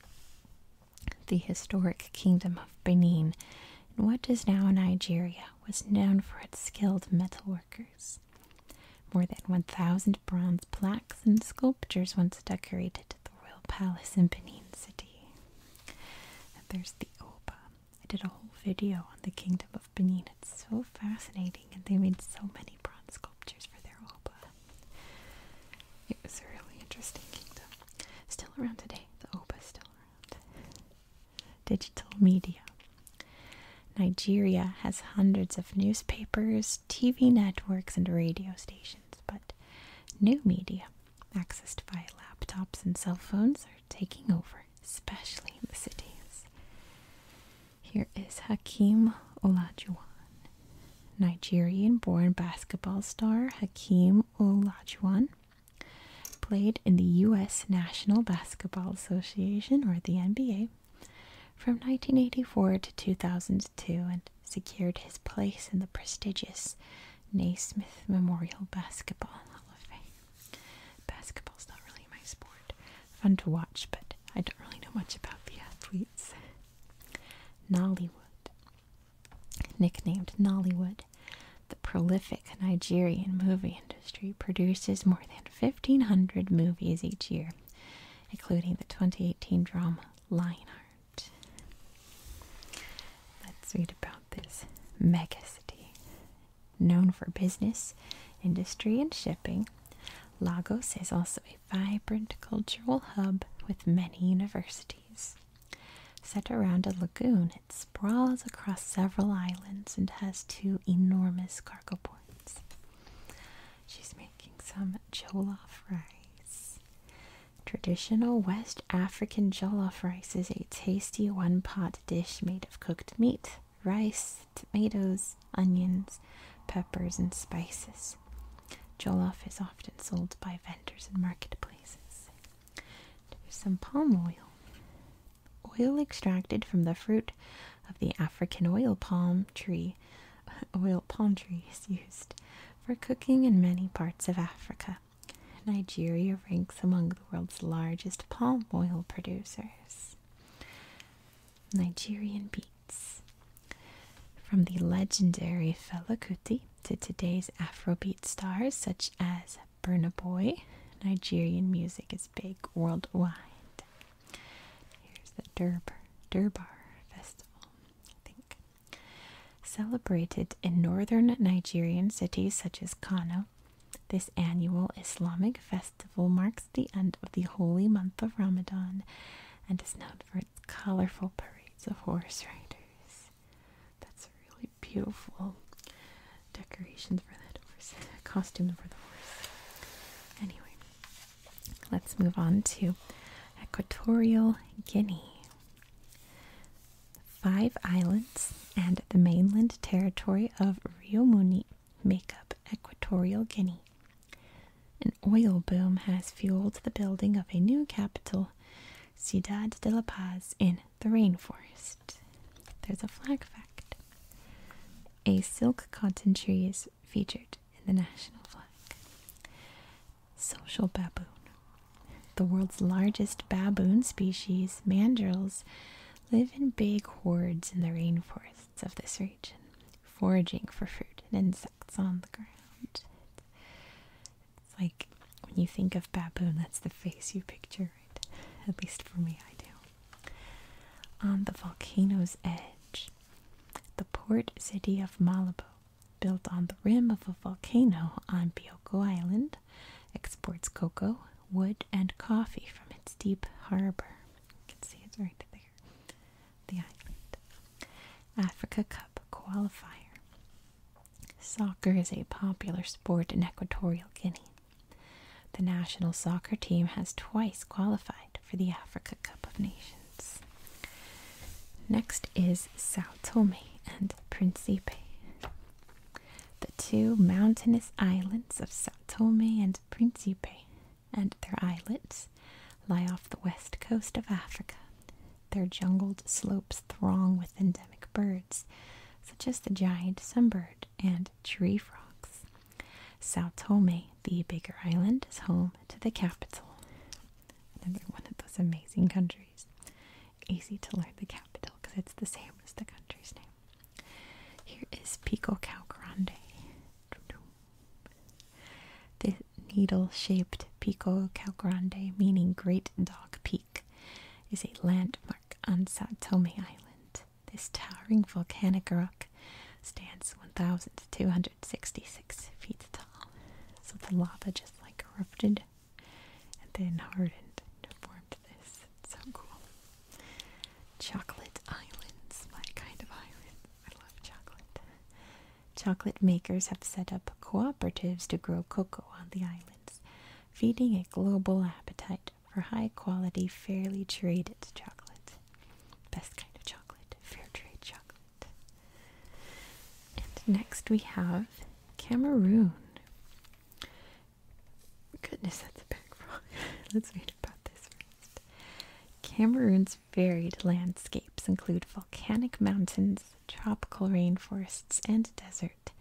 The historic kingdom of Benin, in what is now Nigeria, was known for its skilled metalworkers. More than 1,000 bronze plaques and sculptures once decorated the royal palace in Benin City. there's the Oba. I did a whole video on the kingdom of. Benin. It's so fascinating, and they made so many bronze sculptures for their oba. It was a really interesting kingdom. Still around today. The oba is still around. Digital media. Nigeria has hundreds of newspapers, TV networks, and radio stations, but new media, accessed via laptops and cell phones, are taking over especially in the cities. Here is Hakeem Olajuwon. Nigerian born basketball star Hakeem Olajuwon played in the U.S. National Basketball Association, or the NBA, from 1984 to 2002 and secured his place in the prestigious Naismith Memorial Basketball Hall of Fame. Basketball's not really my sport. Fun to watch, but I don't really know much about the athletes. Nollywood. Nicknamed Nollywood, the prolific Nigerian movie industry produces more than 1,500 movies each year, including the 2018 drama Lionheart. Let's read about this megacity known for business, industry, and shipping, Lagos is also a vibrant cultural hub with many universities. Set around a lagoon, it sprawls across several islands and has two enormous cargo ports. She's making some jollof rice. Traditional West African jollof rice is a tasty one pot dish made of cooked meat, rice, tomatoes, onions, peppers, and spices. Jollof is often sold by vendors in marketplaces. There's some palm oil. Oil extracted from the fruit of the African oil palm tree. <laughs> Oil palm tree is used for cooking in many parts of Africa. Nigeria ranks among the world's largest palm oil producers. Nigerian beats. From the legendary Fela Kuti to today's Afrobeat stars such as Burna Boy, Nigerian music is big worldwide. Here's the Durbar, Durbar Festival, I think. Celebrated in northern Nigerian cities such as Kano, this annual Islamic festival marks the end of the holy month of Ramadan and is known for its colorful parades of horse riders. That's really beautiful decorations for the horse, <laughs> costumes for the horse. Anyway, let's move on to Equatorial Guinea. Five islands and the mainland territory of Rio Muni make up Equatorial Guinea. An oil boom has fueled the building of a new capital, Ciudad de la Paz, in the rainforest. There's a flag fact. A silk cotton tree is featured in the national flag. Social baboon. The world's largest baboon species, mandrills, live in big hordes in the rainforests of this region, foraging for fruit and insects on the ground. It's like when you think of baboon, that's the face you picture, At least for me, I do. On the volcano's edge, the port city of Malabo, built on the rim of a volcano on Bioko Island, exports cocoa, wood, and coffee from its deep harbor. You can see it's right there. The island. Africa Cup qualifier. Soccer is a popular sport in Equatorial Guinea. The national soccer team has twice qualified for the Africa Cup of Nations. Next is Sao Tome and Principe. The two mountainous islands of Sao Tome and Principe and their islets lie off the west coast of Africa. Their jungled slopes throng with endemic birds, such as the giant sunbird and tree frogs. Sao Tome, the bigger island, is home to the capital. Another one of those amazing countries. Easy to learn the capital because it's the same as the country's name. Here is Pico Cal Grande. The needle shaped Pico Cal Grande, meaning Great Dog Peak, is a landmark on Sao Tome Island. This towering volcanic rock stands 1,266 feet tall, so the lava just like erupted and then hardened and formed this. so cool. Chocolate Islands, my kind of island. I love chocolate. Chocolate makers have set up cooperatives to grow cocoa on the islands, feeding a global appetite for high quality, fairly traded chocolate. Best kind of chocolate, fair trade chocolate. And next we have Cameroon. Goodness, that's a big <laughs> frog. Let's read about this for Cameroon's varied landscapes include volcanic mountains, tropical rainforests, and desert.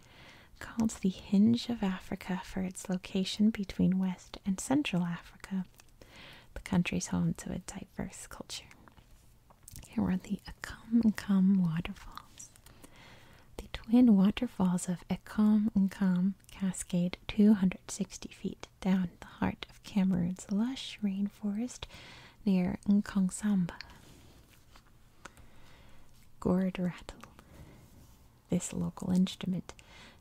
Called the Hinge of Africa for its location between West and Central Africa, the country's home to a diverse culture. Here are the Akam Nkam waterfalls. The twin waterfalls of Ekam Nkam Cascade, 260 feet down the heart of Cameroon's lush rainforest near Nkongsamba. Gourd rattle. This local instrument,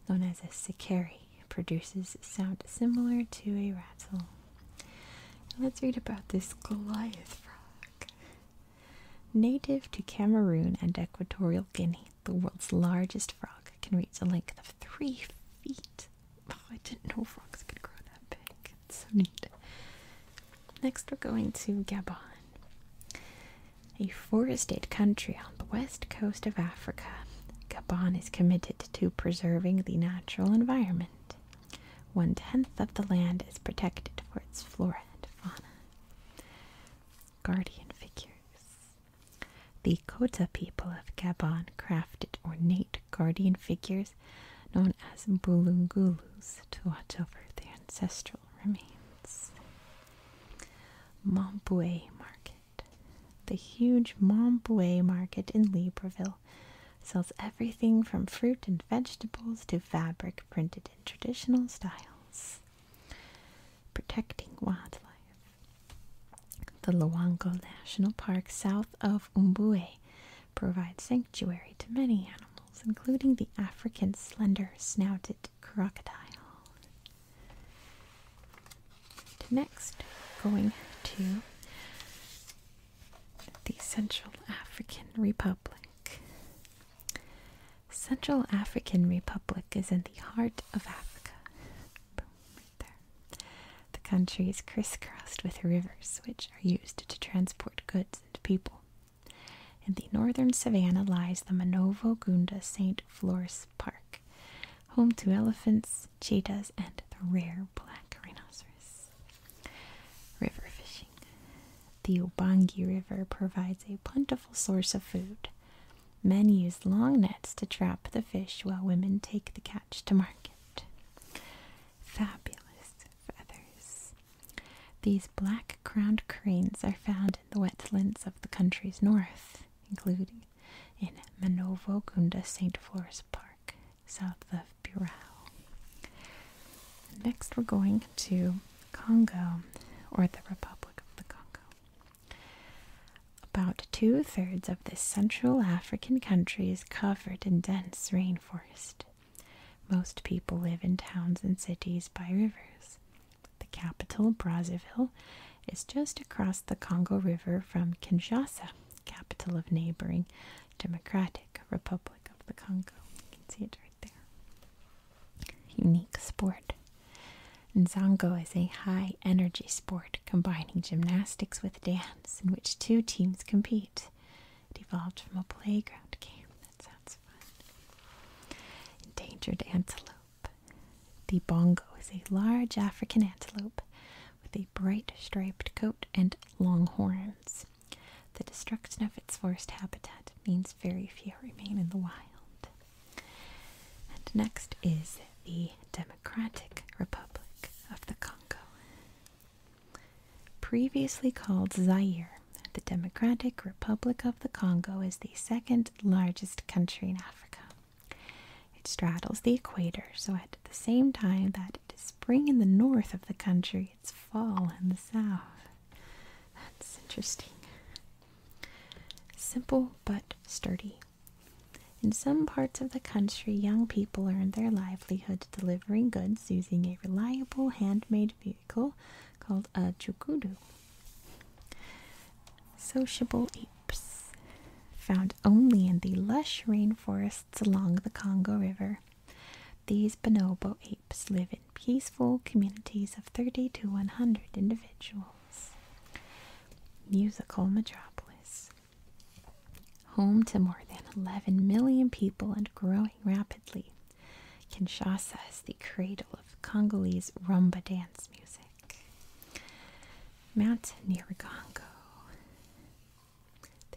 known as a sikari, produces sound similar to a rattle. Let's read about this Goliath frog. Native to Cameroon and Equatorial Guinea, the world's largest frog, can reach a length of three feet. <laughs> Oh, I didn't know frogs could grow that big. It's so neat. Next, we're going to Gabon, a forested country on the west coast of Africa. Gabon is committed to preserving the natural environment. One tenth of the land is protected for its flora and fauna. Guardian figures. The Kota people of Gabon crafted ornate guardian figures known as Bulungulus to watch over their ancestral remains. Mamboué Market. The huge Mamboué Market in Libreville sells everything from fruit and vegetables to fabric printed in traditional styles. Protecting wildlife. The Luango National Park south of Umbue provides sanctuary to many animals, including the African slender snouted crocodile. And next, going to the Central African Republic. Central African Republic is in the heart of Africa. The country is crisscrossed with rivers, which are used to transport goods and people. In the northern savannah lies the Manovo Gunda St. Flor's Park, home to elephants, cheetahs, and the rare black rhinoceros. River fishing. The Ubangi River provides a plentiful source of food. Men use long nets to trap the fish while women take the catch to market. Fabulous feathers. These black crowned cranes are found in the wetlands of the country's north, including in Manovo Gunda St. Flor's Park, south of Burao. Next, we're going to Congo or the Republic of the Congo. About two thirds of this Central African country is covered in dense rainforest. Most people live in towns and cities by rivers. The capital, Brazzaville, is just across the Congo River from Kinshasa, capital of neighboring Democratic Republic of the Congo. You can see it right there. Unique sport. And Zongo is a high energy sport combining gymnastics with dance in which two teams compete. It evolved from a playground game. That sounds fun. Endangered antelope. The bongo is a large African antelope with a bright striped coat and long horns. The destruction of its forest habitat means very few remain in the wild. And next is the Democratic Republic of the Congo. Previously called Zaire, the Democratic Republic of the Congo is the second largest country in Africa. It straddles the equator, so at the same time that it is spring in the north of the country, it's fall in the south. That's interesting. Simple but sturdy. In some parts of the country, young people earn their livelihood delivering goods using a reliable handmade vehicle called a chukuru. Sociable apes, found only in the lush rainforests along the Congo River. These bonobo apes live in peaceful communities of 30 to 100 individuals. Musical metropolis. Home to more than 11 million people and growing rapidly, Kinshasa is the cradle of Congolese rumba dance music. Mount Nyiragongo.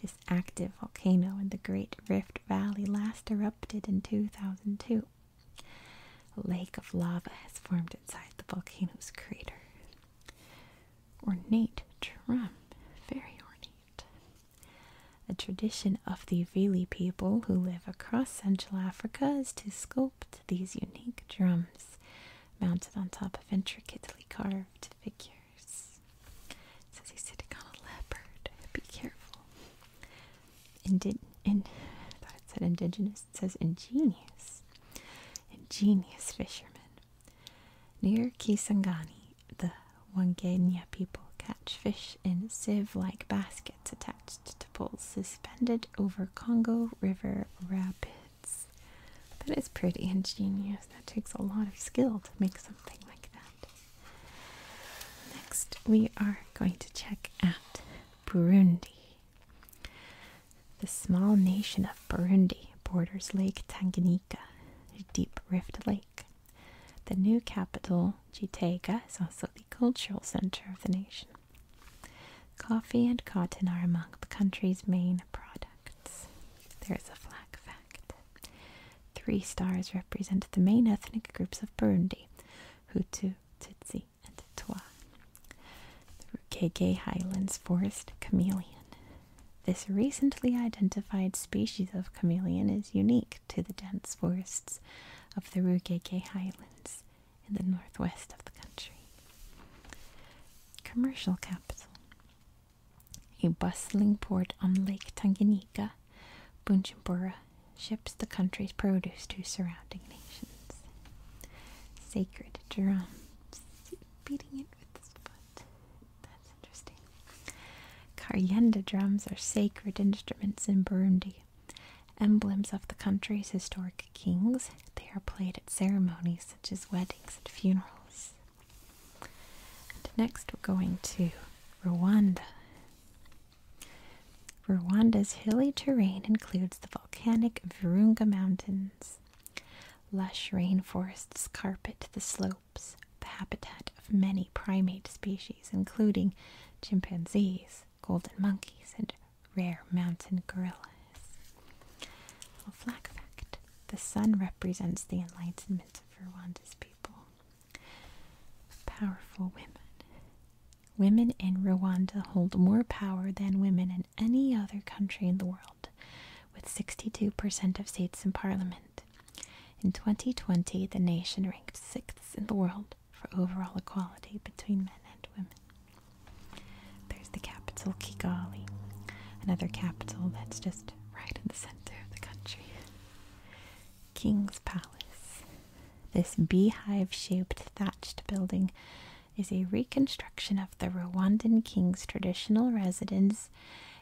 This active volcano in the Great Rift Valley last erupted in 2002. A lake of lava has formed inside the volcano's crater. Ornate drum, very ornate. A tradition of the Vili people who live across Central Africa is to sculpt these unique drums mounted on top of intricately carved figures. It says he's sitting on a leopard. Be careful. Indi I thought it said indigenous. It says ingenious. Ingenious fishermen Near Kisangani, the Wangenya people catch fish in sieve like baskets attached to poles suspended over Congo River rapids. That is pretty ingenious. That takes a lot of skill to make something like that. Next, we are going to check out Burundi. The small nation of Burundi borders Lake Tanganyika, a deep rift lake. The new capital, Gitega, is also the cultural center of the nation. Coffee and cotton are among the country's main products. There's a flag fact. Three stars represent the main ethnic groups of Burundi Hutu, Tutsi, and Twa the KK Highlands forest chameleon. This recently identified species of chameleon is unique to the dense forests of the Rukeke Highlands in the northwest of the country. Commercial capital. A bustling port on Lake Tanganyika, Bunchimbora ships the country's produce to surrounding nations. Sacred drums, beating it with drums are sacred instruments in Burundi, emblems of the country's historic kings. They are played at ceremonies such as weddings and funerals. And next, we're going to Rwanda. Rwanda's hilly terrain includes the volcanic Virunga Mountains, Lush rainforests carpet the slopes, the habitat of many primate species, including chimpanzees, golden monkeys, and rare mountain gorillas. A flag fact the sun represents the enlightenment of Rwanda's people. Powerful women. Women in Rwanda hold more power than women in any other country in the world with 62% of seats in parliament. In 2020, the nation ranked sixth in the world for overall equality between men and women. There's the capital, Kigali, another capital that's just right in the center of the country. King's Palace. This beehive shaped thatched building is a reconstruction of the Rwandan king's traditional residence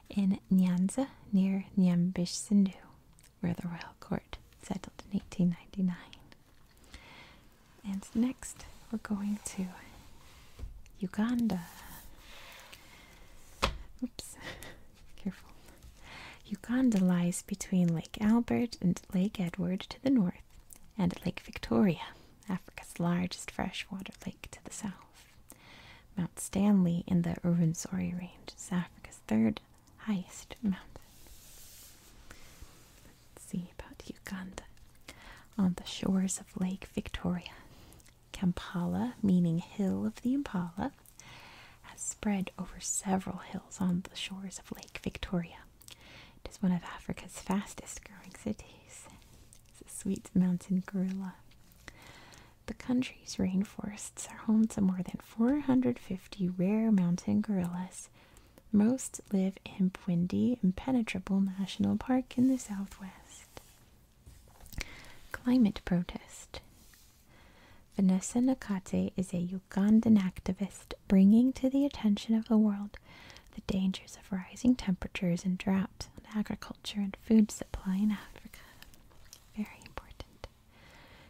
in Nyanza near Nyambishsindu, where the royal court settled in 1899. And next, we're going to Uganda. Oops, <laughs> careful. Uganda lies between Lake Albert and Lake Edward to the north and Lake Victoria Africa's largest freshwater lake to the south. Mount Stanley in the Rwenzori Range is Africa's third highest mountain. Let's see about Uganda. On the shores of Lake Victoria, Kampala, meaning hill of the impala, has spread over several hills on the shores of Lake Victoria. It is one of Africa's fastest growing cities. It's a sweet mountain gorilla. The country's rainforests are home to more than 450 rare mountain gorillas. Most live in Bwindi Impenetrable National Park in the southwest. Climate protest. Vanessa Nakate is a Ugandan activist bringing to the attention of the world the dangers of rising temperatures and drought agriculture and food supply in Africa. Very important.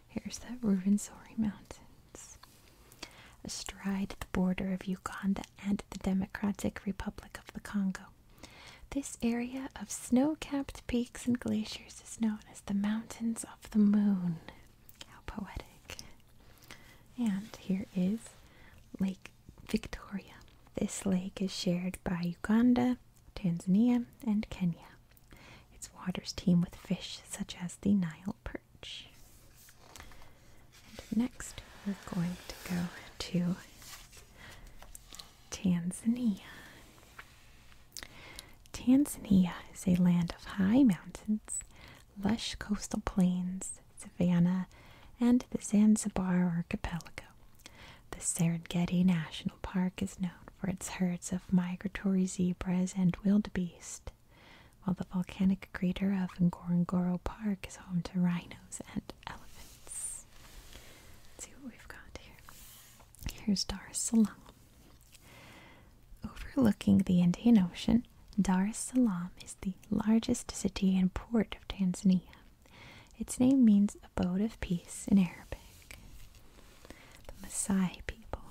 Here's the Rwenzori Mountains. Astride the border of Uganda and the Democratic Republic of the Congo. This area of snow capped peaks and glaciers is known as the Mountains of the Moon. How poetic. And here is Lake Victoria. This lake is shared by Uganda, Tanzania, and Kenya. Its waters teem with fish such as the Nile perch. And next, we're going to go to Tanzania. Tanzania is a land of high mountains, lush coastal plains, Savannah, and the Zanzibar Archipelago. The Serengeti National Park is known for its herds of migratory zebras and wildebeest, while the volcanic crater of Ngorongoro Park is home to rhinos and elephants. see what we've got here. Here's Dar es Salaam. Overlooking the Indian Ocean, Dar es Salaam is the largest city and port of Tanzania. Its name means abode of peace in Arabic. The Maasai people.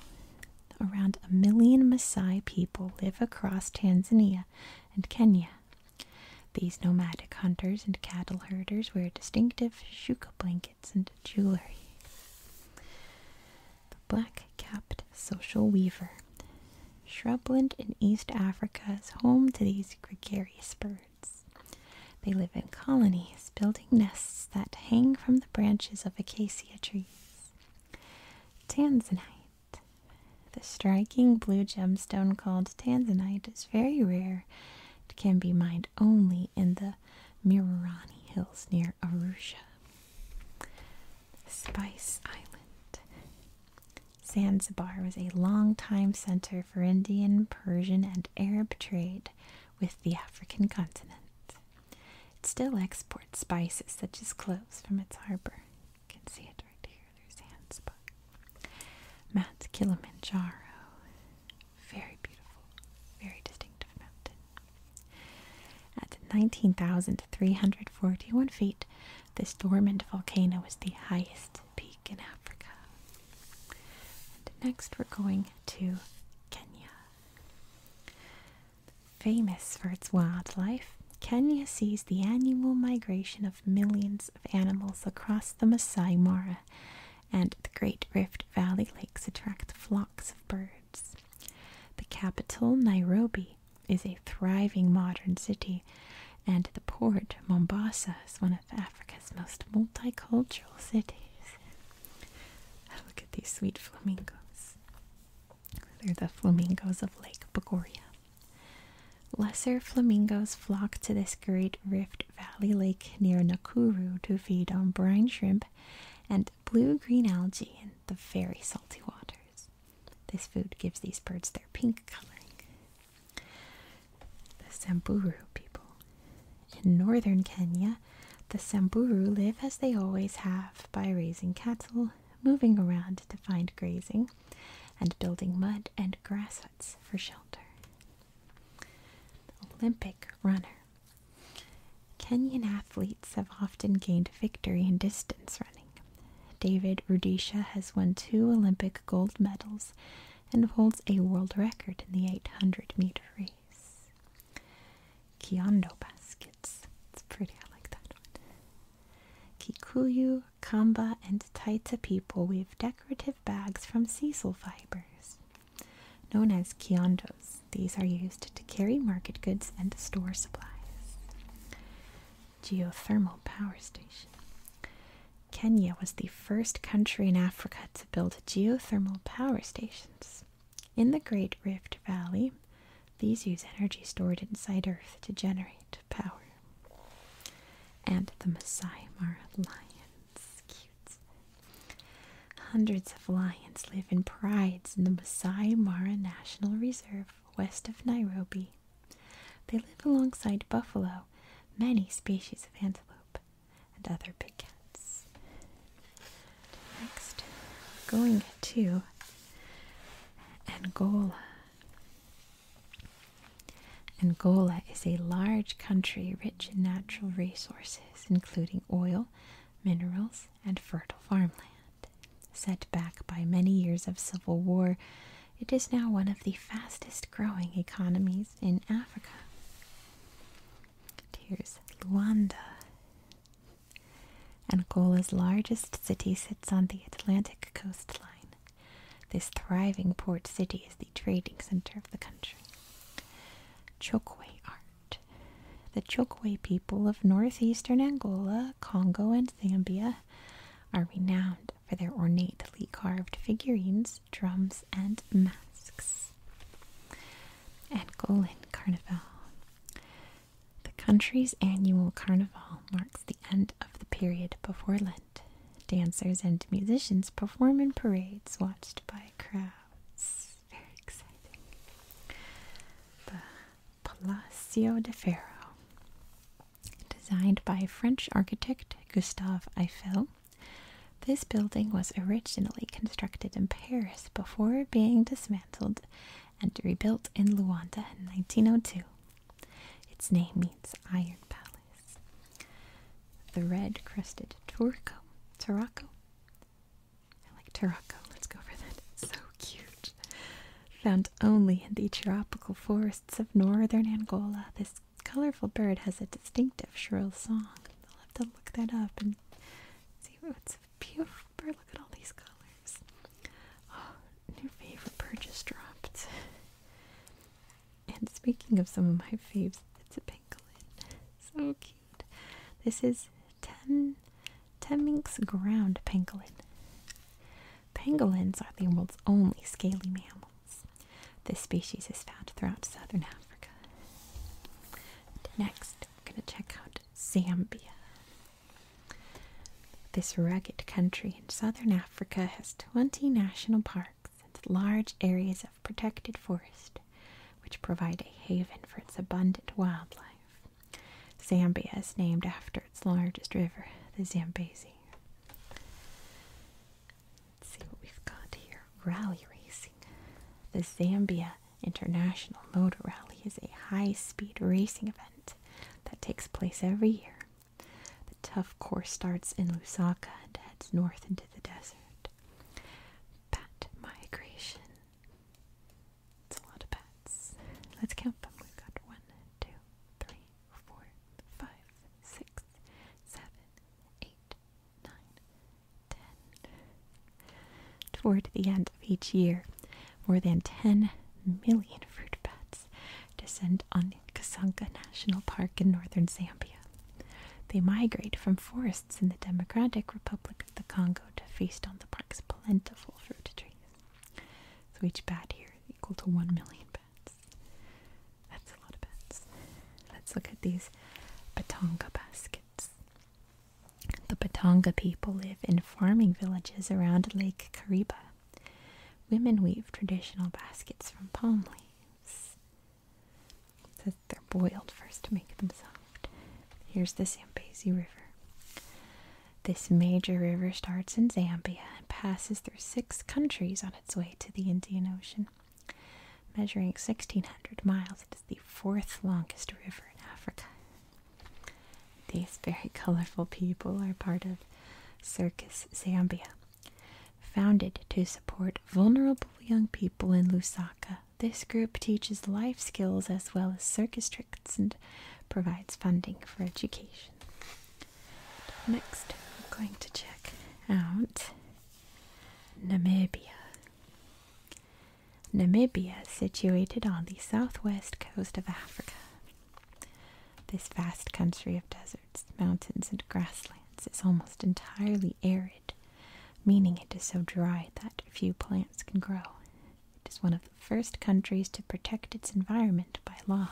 Around a million Maasai people live across Tanzania and Kenya. These nomadic hunters and cattle herders wear distinctive shuka blankets and jewelry. The black capped social weaver. Shrubland in East Africa is home to these gregarious birds. They live in colonies, building nests that hang from the branches of acacia trees. Tanzanite. The striking blue gemstone called tanzanite is very rare. It can be mined only in the Mirarani Hills near Arusha. Spice Island. Zanzibar was a long-time center for Indian, Persian, and Arab trade with the African continent. It still exports spices such as cloves from its harbor. You can see it right here. There's Zanzibar. Mount Kilimanjaro. Very beautiful, very distinctive mountain. At 19,341 feet, this dormant volcano is the highest peak in Africa. next, we're going to Kenya. Famous for its wildlife, Kenya sees the annual migration of millions of animals across the Masai Mara, and the Great Rift Valley lakes attract flocks of birds. The capital, Nairobi, is a thriving modern city, and the port, Mombasa, is one of Africa's most multicultural cities. Oh, look at these sweet flamingos. They're the flamingos of Lake Bogoria. Lesser flamingos flock to this great rift valley lake near Nakuru to feed on brine shrimp and blue-green algae in the very salty waters. This food gives these birds their pink coloring. The Samburu people. In northern Kenya, the Samburu live as they always have by raising cattle, moving around to find grazing, and building mud and grass huts for shelter. Olympic runner. Kenyan athletes have often gained victory in distance running. David Rudisha has won two Olympic gold medals and holds a world record in the 800 meter race. Kyondo baskets. It's pretty, I like that one. Kikuyu, Kamba, and Taita people weave decorative bags from sisal fibers. Known as kyondos, these are used to carry market goods and store supplies. Geothermal power station. Kenya was the first country in Africa to build geothermal power stations. In the Great Rift Valley, these use energy stored inside Earth to generate power. And the Masai Mara lions. Hundreds of lions live in prides in the Masai Mara National Reserve west of Nairobi. They live alongside buffalo many species of antelope and other big cats. Next, going to Angola. Angola is a large country rich in natural resources, including oil, minerals, and fertile farmland. Set back by many years of civil war it is now one of the fastest growing economies in Africa. Here's Luanda. Angola's largest city sits on the Atlantic coastline. This thriving port city is the trading center of the country. Chokwe art. The Chokwe people of northeastern Angola, Congo, and Zambia are renowned for their ornately carved figurines, drums, and masks. At Golin Carnival. The country's annual carnival marks the end of the period before Lent. Dancers and musicians perform in parades watched by crowds. Very exciting. The Palacio de Ferro. Designed by French architect Gustave Eiffel, this building was originally constructed in Paris before being dismantled and rebuilt in Luanda in 1902. Its name means Iron Palace. The red crested Turco. Turaco? I like Turaco. Let's go for that. It's so cute. Found only in the tropical forests of northern Angola, this this colorful bird has a distinctive shrill song. I'll have to look that up and see what's a beautiful bird. Look at all these colors. Oh, new favorite bird just dropped. And speaking of some of my faves, it's a pangolin. So cute. This is ten ten Temminck's ground pangolin. Pangolins are the world's only scaly mammal. This species is found throughout southern Africa. Next, we're going to check out Zambia. This rugged country in southern Africa has 20 national parks and large areas of protected forest, which provide a haven for its abundant wildlife. Zambia is named after its largest river, the Zambezi. Let's see what we've got here. Rally racing. The Zambia International Motor Rally is a high speed racing event that takes place every year. The tough course starts in Lusaka and heads north into the desert. Bat migration. It's a lot of bats. Let's count them. We've got one, two, three, four, five, six, seven, eight, Toward the end of each year, more than 10 million fruit bats descend on Kasanka National Park in northern Zambia. They migrate from forests in the Democratic Republic of the Congo to feast on the park's plentiful fruit trees. So each bat here is equal to 1 million bats. That's a lot of pence. Let's look at these Batonga baskets. The Batonga people live in farming villages around Lake Kariba. Women weave traditional baskets from palm leaves. says they're boiled first to make them soft. Here's the Zambezi River. This major river starts in Zambia and passes through six countries on its way to the Indian Ocean. Measuring 1,600 miles, it is the fourth longest river in Africa. These very colorful people are part of Circus Zambia. Founded to support vulnerable young people in Lusaka, this group teaches life skills as well as circus tricks and provides funding for education. Next, I'm going to check out Namibia. Namibia is situated on the southwest coast of Africa. This vast country of deserts, mountains, and grasslands is almost entirely arid, meaning it is so dry that few plants can grow. It is one of the first countries to protect its environment by law.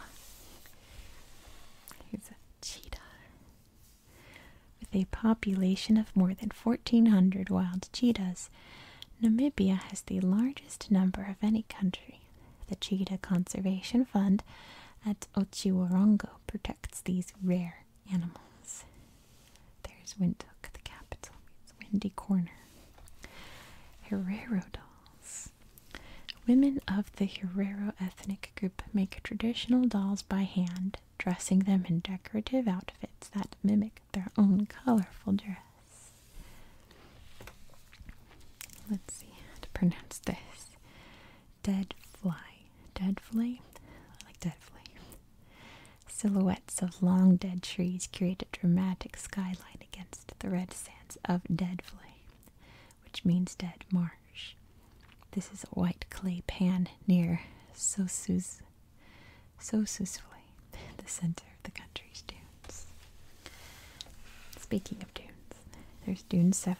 Here's a cheetah. With a population of more than 1,400 wild cheetahs, Namibia has the largest number of any country. The Cheetah Conservation Fund at Ochiwarongo protects these rare animals. There's Windhoek, the capital, it's Windy Corner. Herero dolls. Women of the Herero ethnic group make traditional dolls by hand dressing them in decorative outfits that mimic their own colorful dress. Let's see how to pronounce this. Dead fly. Dead fly? I like dead fly. Silhouettes of long dead trees create a dramatic skyline against the red sands of dead flame, which means dead marsh. This is a white clay pan near Sosus, Sosusville, the center of the country's dunes. Speaking of dunes, there's Dune 7.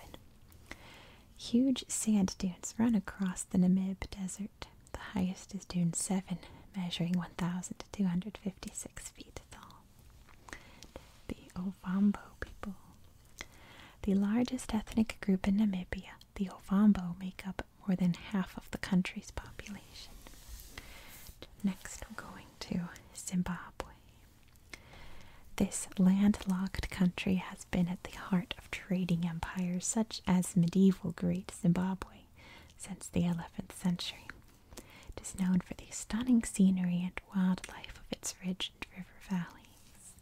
Huge sand dunes run across the Namib Desert. The highest is Dune 7, measuring 1,256 feet tall. The Ovambo people. The largest ethnic group in Namibia, the Ovambo make up more than half of the country's population. Next, we're going to Zimbabwe. This landlocked country has been at the heart of trading empires such as medieval Great Zimbabwe since the 11th century. It is known for the stunning scenery and wildlife of its rich river valleys.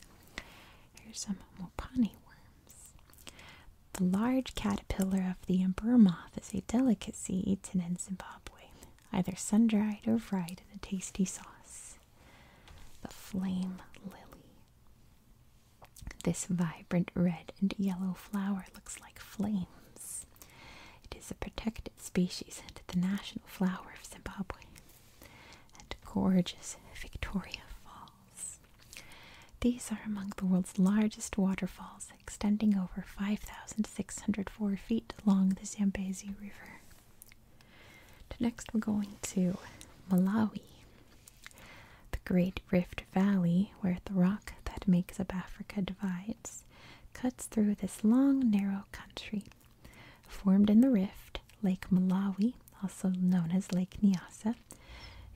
Here's some mopani worms. The large caterpillar of the emperor moth is a delicacy eaten in Zimbabwe, either sun-dried or fried in a tasty sauce. The flame lily. This vibrant red and yellow flower looks like flames. It is a protected species and the national flower of Zimbabwe and gorgeous Victoria Falls. These are among the world's largest waterfalls, extending over 5,604 feet along the Zambezi River. Next, we're going to Malawi, the Great Rift Valley, where the rock that makes up Africa divides, cuts through this long, narrow country formed in the rift, Lake Malawi, also known as Lake Nyasa,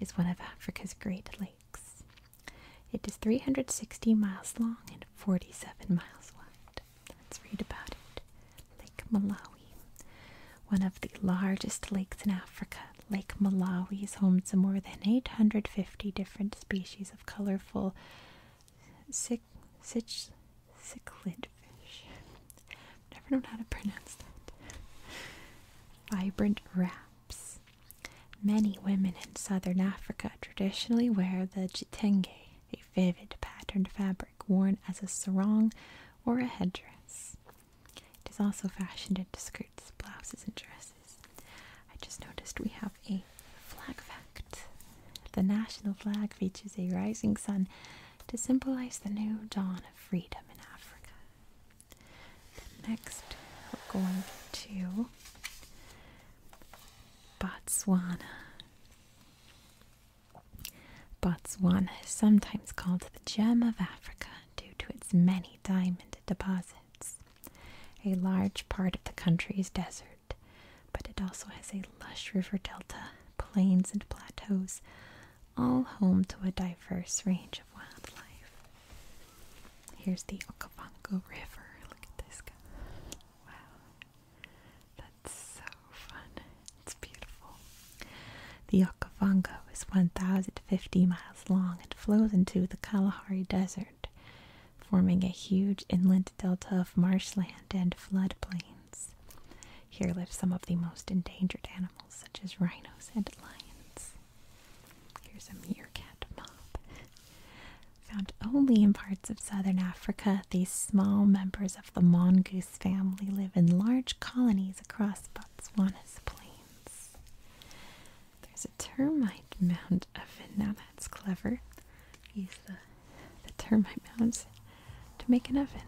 is one of Africa's great lakes. It is 360 miles long and 47 miles wide. Let's read about it. Lake Malawi. One of the largest lakes in Africa, Lake Malawi is home to more than 850 different species of colorful cichlids. Never known how to pronounce that. Vibrant wraps. Many women in southern Africa traditionally wear the jitenge, a vivid patterned fabric worn as a sarong or a headdress. It is also fashioned into skirts, blouses, and dresses. I just noticed we have a flag fact. The national flag features a rising sun to symbolize the new dawn of freedom in Africa. next, we're going to Botswana. Botswana is sometimes called the gem of Africa due to its many diamond deposits. A large part of the country is desert, but it also has a lush river delta plains and plateaus, all home to a diverse range of wildlife. Here's the Okavango River. Look at this guy. Wow. That's so fun. It's beautiful. The Okavango is 1,050 miles long and flows into the Kalahari Desert, forming a huge inland delta of marshland and floodplains. Here live some of the most endangered animals such as rhinos and lions. Here's a meerkat moth. Found only in parts of southern Africa, these small members of the mongoose family live in large colonies across Botswana's plains. There's a termite mound oven. Now that's clever. Use the, the termite mounds to make an oven.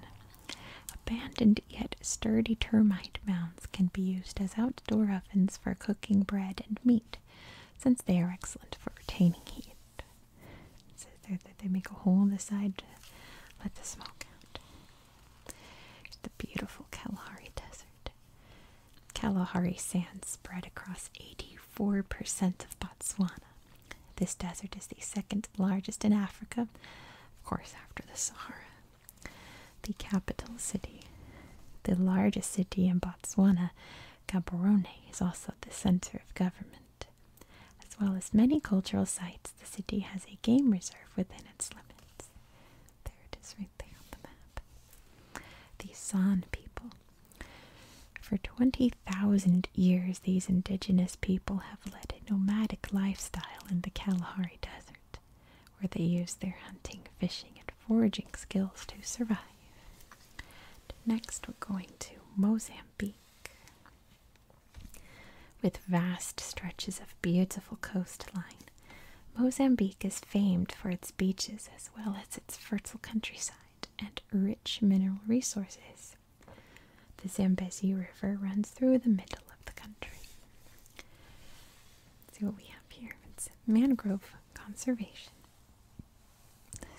Abandoned yet sturdy termite mounds can be used as outdoor ovens for cooking bread and meat, since they are excellent for retaining heat. So they make a hole in the side to let the smoke out. Here's the beautiful Kalahari Desert. Kalahari sands spread across 84% of Botswana. This desert is the second largest in Africa, of course, after the Sahara the capital city. The largest city in Botswana, Gaborone, is also the center of government. As well as many cultural sites, the city has a game reserve within its limits. There it is right there on the map. The San people. For 20,000 years, these indigenous people have led a nomadic lifestyle in the Kalahari Desert where they use their hunting, fishing, and foraging skills to survive. Next, we're going to Mozambique. With vast stretches of beautiful coastline, Mozambique is famed for its beaches as well as its fertile countryside and rich mineral resources. The Zambezi River runs through the middle of the country. see what we have here. It's mangrove conservation.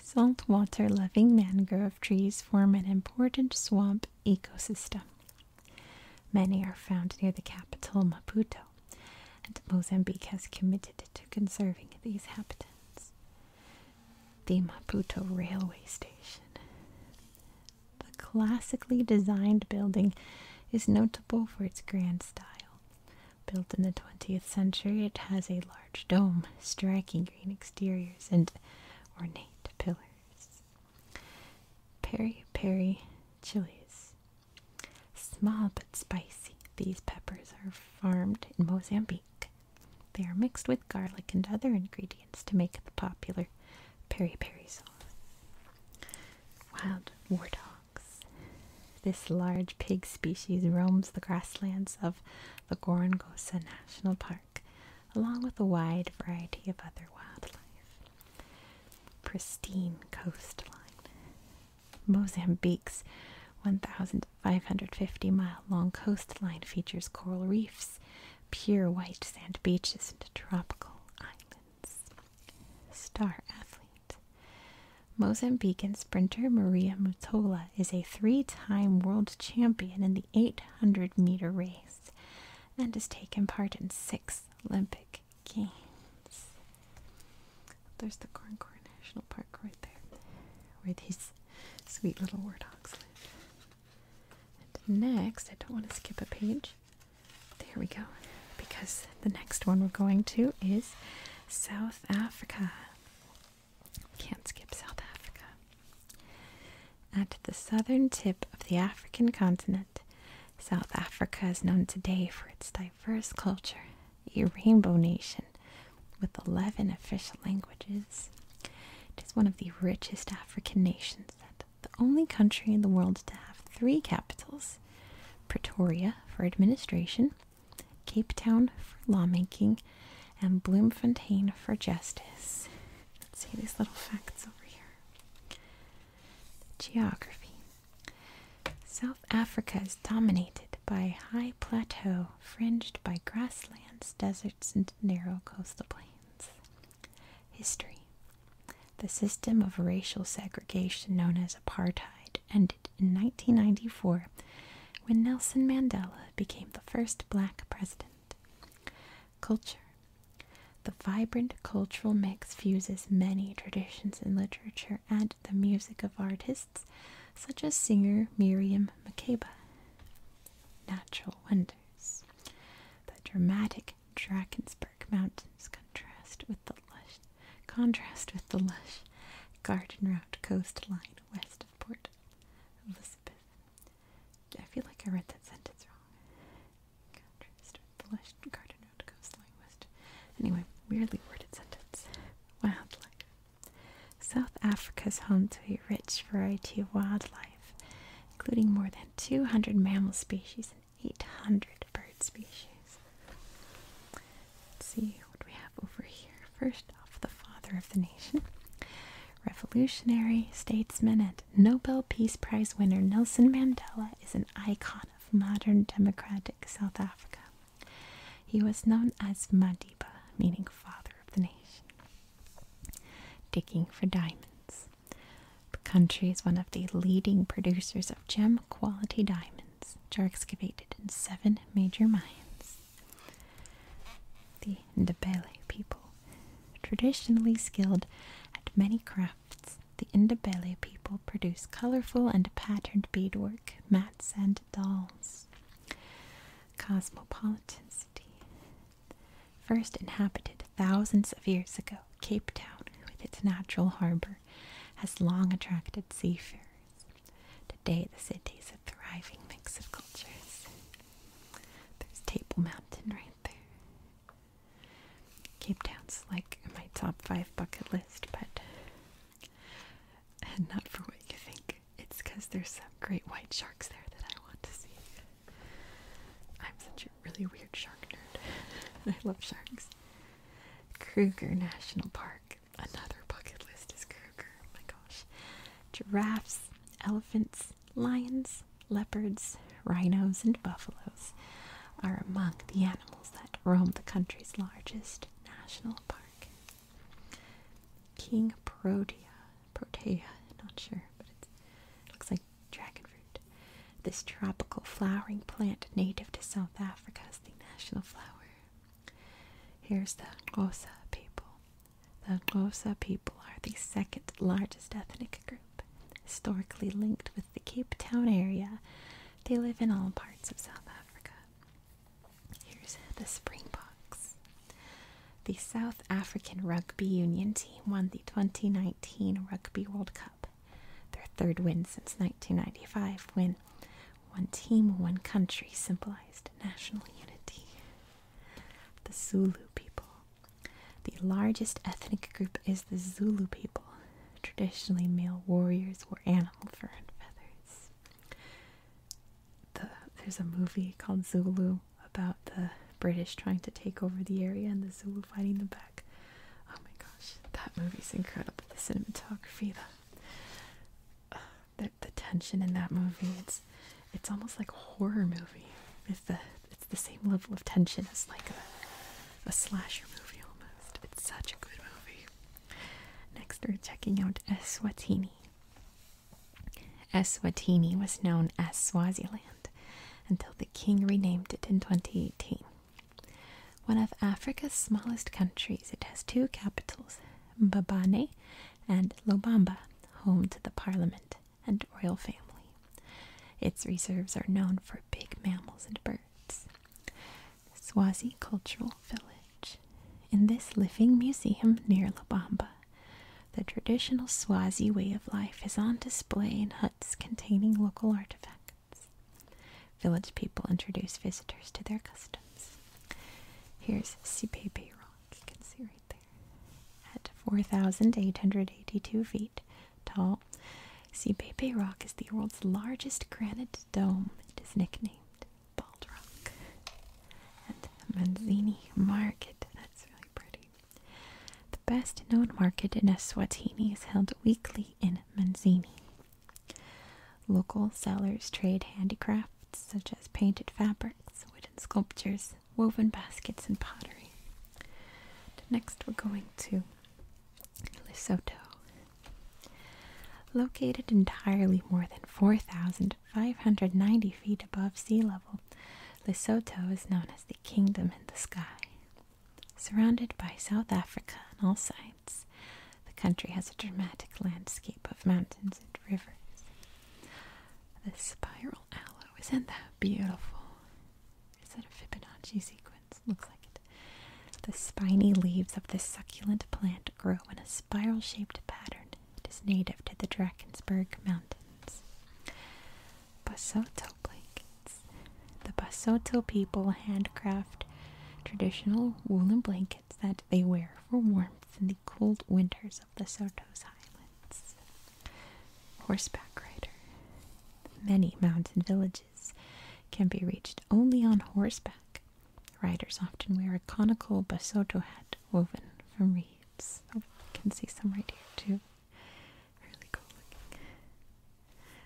Saltwater loving mangrove trees form an important swamp ecosystem. Many are found near the capital Maputo, and Mozambique has committed to conserving these habitats. The Maputo railway station the classically designed building is notable for its grand style. Built in the 20th century, it has a large dome, striking green exteriors, and ornate pillars. Peri peri chilies. Small but spicy, these peppers are farmed in Mozambique. They are mixed with garlic and other ingredients to make the popular peri peri Wild war dogs. This large pig species roams the grasslands of the Gorongosa National Park, along with a wide variety of other wildlife. Pristine coastline. Mozambique's 1,550 mile long coastline features coral reefs, pure white sand beaches, and tropical islands. Star athlete. Mozambican sprinter Maria Mutola is a three-time world champion in the 800 meter race and has taken part in 6 Olympic games. There's the Corncor National Park right there where these sweet little warthogs live. next, I don't want to skip a page. There we go. Because the next one we're going to is South Africa. Can't skip South Africa. At the southern tip of the African continent, South Africa is known today for its diverse culture, a rainbow nation with 11 official languages. It is one of the richest African nations that the only country in the world to have three capitals Pretoria for administration, Cape Town for lawmaking, and Bloemfontein for justice. Let's see these little facts over here. Geography South Africa is dominated by a high plateau fringed by grasslands, deserts, and narrow coastal plains. History The system of racial segregation known as apartheid ended in 1994 when Nelson Mandela became the first black president. Culture The vibrant cultural mix fuses many traditions in literature and the music of artists such as singer Miriam Makeba. Natural wonders. The dramatic Drakensberg Mountains contrast with the lush contrast with the lush garden route coastline west of Port Elizabeth. I feel like I read that sentence wrong. Contrast with the lush garden route coastline west. Anyway, weirdly worded sentence. Wildlife. South Africa is home to a rich variety of wildlife, including more than 200 mammal species 800 bird species. Let's see what we have over here. First off, the father of the nation, revolutionary statesman and Nobel Peace Prize winner Nelson Mandela is an icon of modern democratic South Africa. He was known as Madiba, meaning father of the nation. Digging for diamonds. The country is one of the leading producers of gem quality diamonds, which are excavated in seven major mines. The Ndebele people. Traditionally skilled at many crafts, the Ndebele people produce colorful and patterned beadwork, mats, and dolls. Cosmopolitan city. First inhabited thousands of years ago. Cape Town, with its natural harbor, has long attracted seafarers. Today, the city is a thriving mix of cultures. There's Table Mountain right there. Cape Town's like my top five bucket list, but and <laughs> not for what you think. It's because there's some great white sharks there that I want to see really weird shark nerd. <laughs> I love sharks. Kruger National Park. Another bucket list is Kruger. Oh my gosh. Giraffes, elephants, lions, leopards, rhinos, and buffaloes are among the animals that roam the country's largest national park. King Protea. Protea, not sure, but it looks like dragon fruit. This tropical flowering plant native to South Africa is the national flower. Here's the Xhosa people. The Xhosa people are the second largest ethnic group, historically linked with the Cape Town area. They live in all parts of South Africa. Here's the Springboks. The South African Rugby Union team won the 2019 Rugby World Cup their third win since 1995, when one team, one country symbolized national unity. The Zulu people. The largest ethnic group is the Zulu people. Traditionally, male warriors wore animal fur and feathers. there's a movie called Zulu about the British trying to take over the area and the Zulu fighting them back. Oh my gosh, that movie's incredible. The cinematography, uh, the, the tension in that movie. It's it's almost like a horror movie. It's the it's the same level of tension as like a a slasher movie almost. It's such a good movie. Next, we're checking out Eswatini. Eswatini was known as Swaziland until the king renamed it in 2018. One of Africa's smallest countries, it has two capitals, Mbabane and Lobamba, home to the parliament and royal family. Its reserves are known for big mammals and birds. Swazi Cultural Village. In this living museum near Lobamba, the traditional Swazi way of life is on display in huts containing local artifacts. Village people introduce visitors to their customs. Here's Sipepe Rock, you can see right there. At 4,882 feet tall, Sipepe Rock is the world's largest granite dome. It is nicknamed Bald Rock. And Manzini Market, that's really pretty. The best known market in Eswatini is held weekly in Manzini. Local sellers trade handicrafts such as painted fabrics, wooden sculptures, woven baskets, and pottery. Next, we're going to Lesotho. Located entirely more than 4,590 feet above sea level, Lesotho is known as the Kingdom in the Sky. Surrounded by South Africa on all sides, the country has a dramatic landscape of mountains and rivers. The spiral aloe, isn't that beautiful? Is that a Fibonacci sequence? Looks like it. The spiny leaves of this succulent plant grow in a spiral shaped pattern. It is native to the Drakensberg Mountains. Basoto blankets. The Basoto people handcraft traditional woolen blankets that they wear for warmth in the cold winters of the Sotos Highlands. Horseback rider. Many mountain villages can be reached only on horseback. Riders often wear a conical Basoto hat woven from reeds. you oh, can see some right here too really cool looking.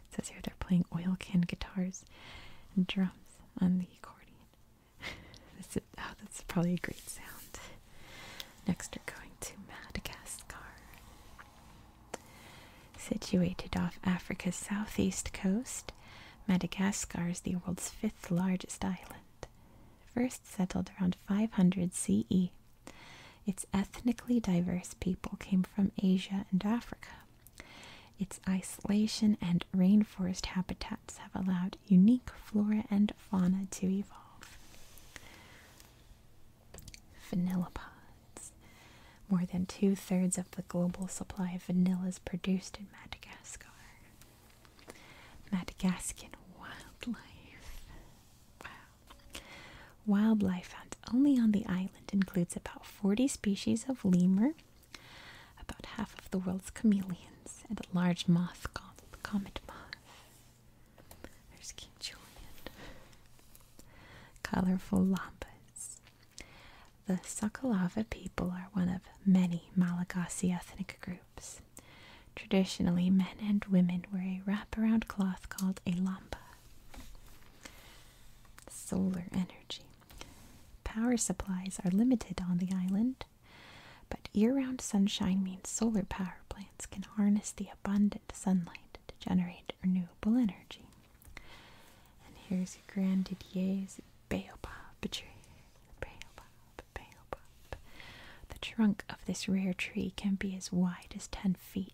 It says here they're playing oil can guitars and drums on the accordion. <laughs> oh, that's probably a great sound. Next, we're going to Madagascar. Situated off Africa's southeast coast, Madagascar is the world's fifth largest island. First settled around 500 CE, its ethnically diverse people came from Asia and Africa, its isolation and rainforest habitats have allowed unique flora and fauna to evolve. Vanillipods. More than two thirds of the global supply of vanilla is produced in Madagascar. Madagascan wildlife. Wow. Wildlife found only on the island includes about 40 species of lemur, about half of the world's chameleons, and a large moth called the comet moth. There's King Julian. Colorful lampas. The Sakalava people are one of many Malagasy ethnic groups. Traditionally, men and women wear a wraparound cloth called a lampa. Solar energy. Power supplies are limited on the island, but year round sunshine means solar power plants can harness the abundant sunlight to generate renewable energy. And here's your Grand Didier's baobab tree. Baobab, baobab. The trunk of this rare tree can be as wide as 10 feet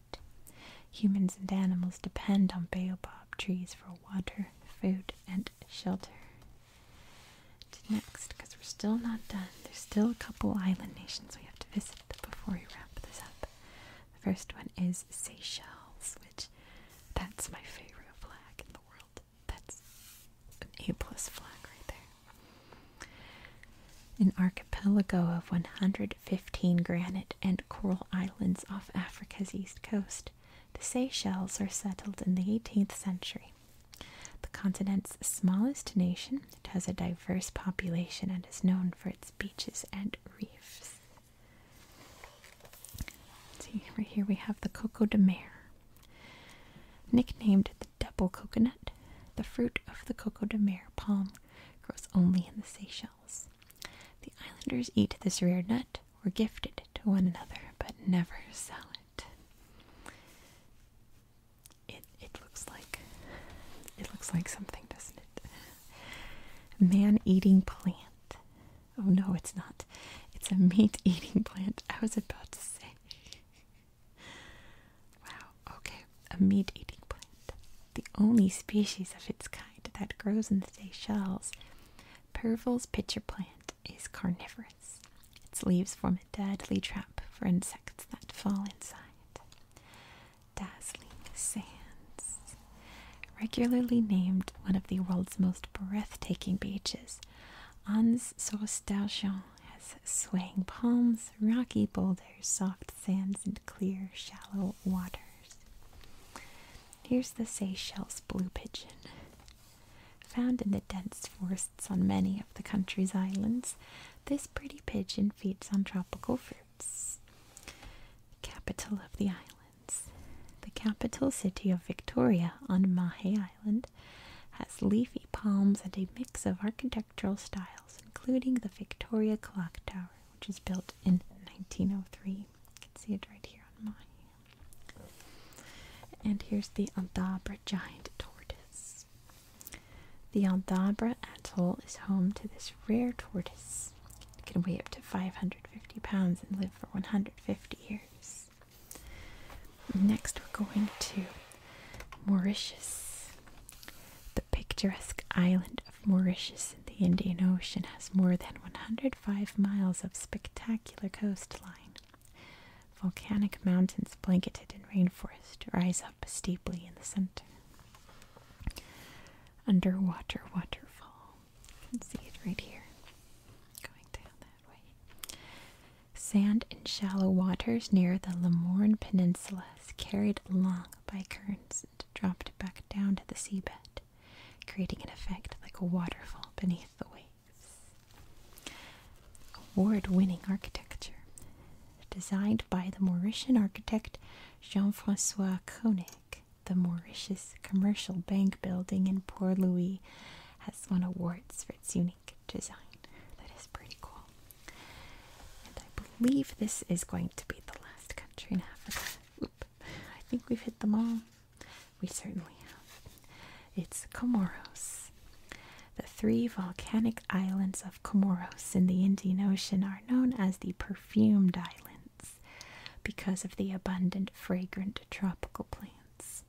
Humans and animals depend on baobab trees for water, food, and shelter. next, because we're still not done. There's still a couple island nations we have to visit before we wrap this up. The first one is Seychelles, which that's my favorite flag in the world. That's an A plus flag right there. An archipelago of one hundred. Fifteen granite and coral islands off Africa's east coast. The Seychelles are settled in the 18th century. The continent's smallest nation, it has a diverse population and is known for its beaches and reefs. see, right here we have the Coco de Mer. Nicknamed the double coconut, the fruit of the Coco de Mer palm grows only in the Seychelles. The islanders eat this rare nut We're gifted to one another, but never sell it. It it looks like it looks like something, doesn't it? Man-eating plant. Oh no, it's not. It's a meat-eating <laughs> plant. I was about to say. wow. Okay, a meat-eating plant the only species of its kind that grows in the Seychelles, Pervil's pitcher plant is carnivorous. Its leaves form a deadly trap for insects that fall inside. Dazzling sands. Regularly named one of the world's most breathtaking beaches, Anse Sauce d'Argent has swaying palms, rocky boulders, soft sands, and clear, shallow waters. Here's the Seychelles blue pigeon. Found in the dense forests on many of the country's islands, this pretty pigeon feeds on tropical fruits. Capital of the islands. The capital city of Victoria on Mahe Island has leafy palms and a mix of architectural styles, including the Victoria Clock Tower which is built in 1903. You can see it right here on my. And here's the Aldabra giant tortoise. The Aldabra atoll is home to this rare tortoise. It can weigh up to 550 pounds and live for 150 years. Next, we're going to Mauritius, the picturesque island of Mauritius in the Indian Ocean has more than 105 miles of spectacular coastline. Volcanic mountains blanketed in rainforest rise up steeply in the center. Underwater waterfall. You can see it right here. Going down that way. Sand in shallow waters near the Lamorne Peninsula is carried along by currents and dropped back down to the seabed creating an effect like a waterfall beneath the waves. Award winning architecture. Designed by the Mauritian architect Jean Francois Koenig, the Mauritius Commercial Bank building in Port Louis has won awards for its unique design. That is pretty cool. And I believe this is going to be the last country in Africa. Oop, I think we've hit them all. We certainly have. It's Comoros. The three volcanic islands of Comoros in the Indian Ocean are known as the Perfumed Islands because of the abundant, fragrant tropical plants.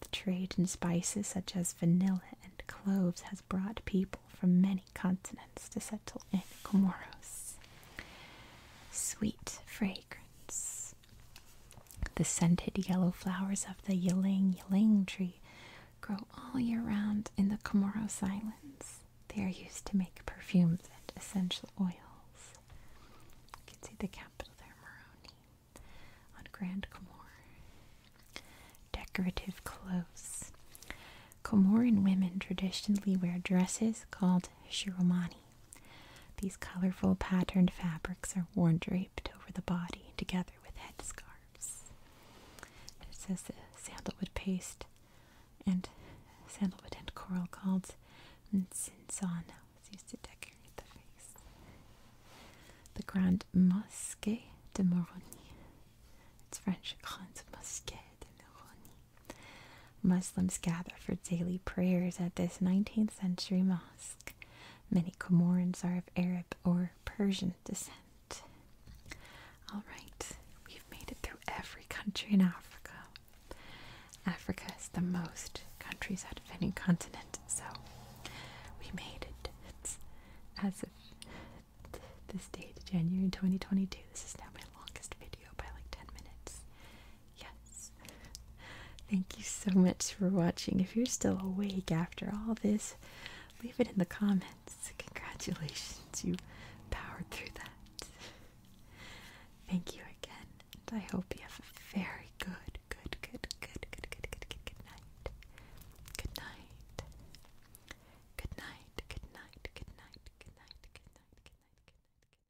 The trade in spices such as vanilla and cloves has brought people from many continents to settle in Comoros. Sweet, fragrance. The scented yellow flowers of the ylang ylang tree grow all year round in the Comoro Islands. They are used to make perfumes and essential oils. You can see the capital there, Moroni, on Grand Comore. Decorative clothes. Comorian women traditionally wear dresses called shiromani. These colorful patterned fabrics are worn draped over the body together with headscarves. It says the sandalwood paste and sandalwood and coral called nsinsan was used to decorate the face. The Grand Mosquée de Moroni. It's French Grande Mosquée de Moroni Muslims gather for daily prayers at this 19th century mosque. Many Comorans are of Arab or Persian descent. Alright, we've made it through every country in Africa. Africa is the most countries out of any continent, so we made it. as of this date, January 2022. This is now my longest video by like 10 minutes. Yes. Thank you so much for watching. If you're still awake after all this, leave it in the comments. Congratulations, you powered through that. Thank you again, and I hope you have a very good, good, good, good, good, good, good, good, good night. Good night. Good night. Good night. Good night. Good night. Good night. Good night. Good night.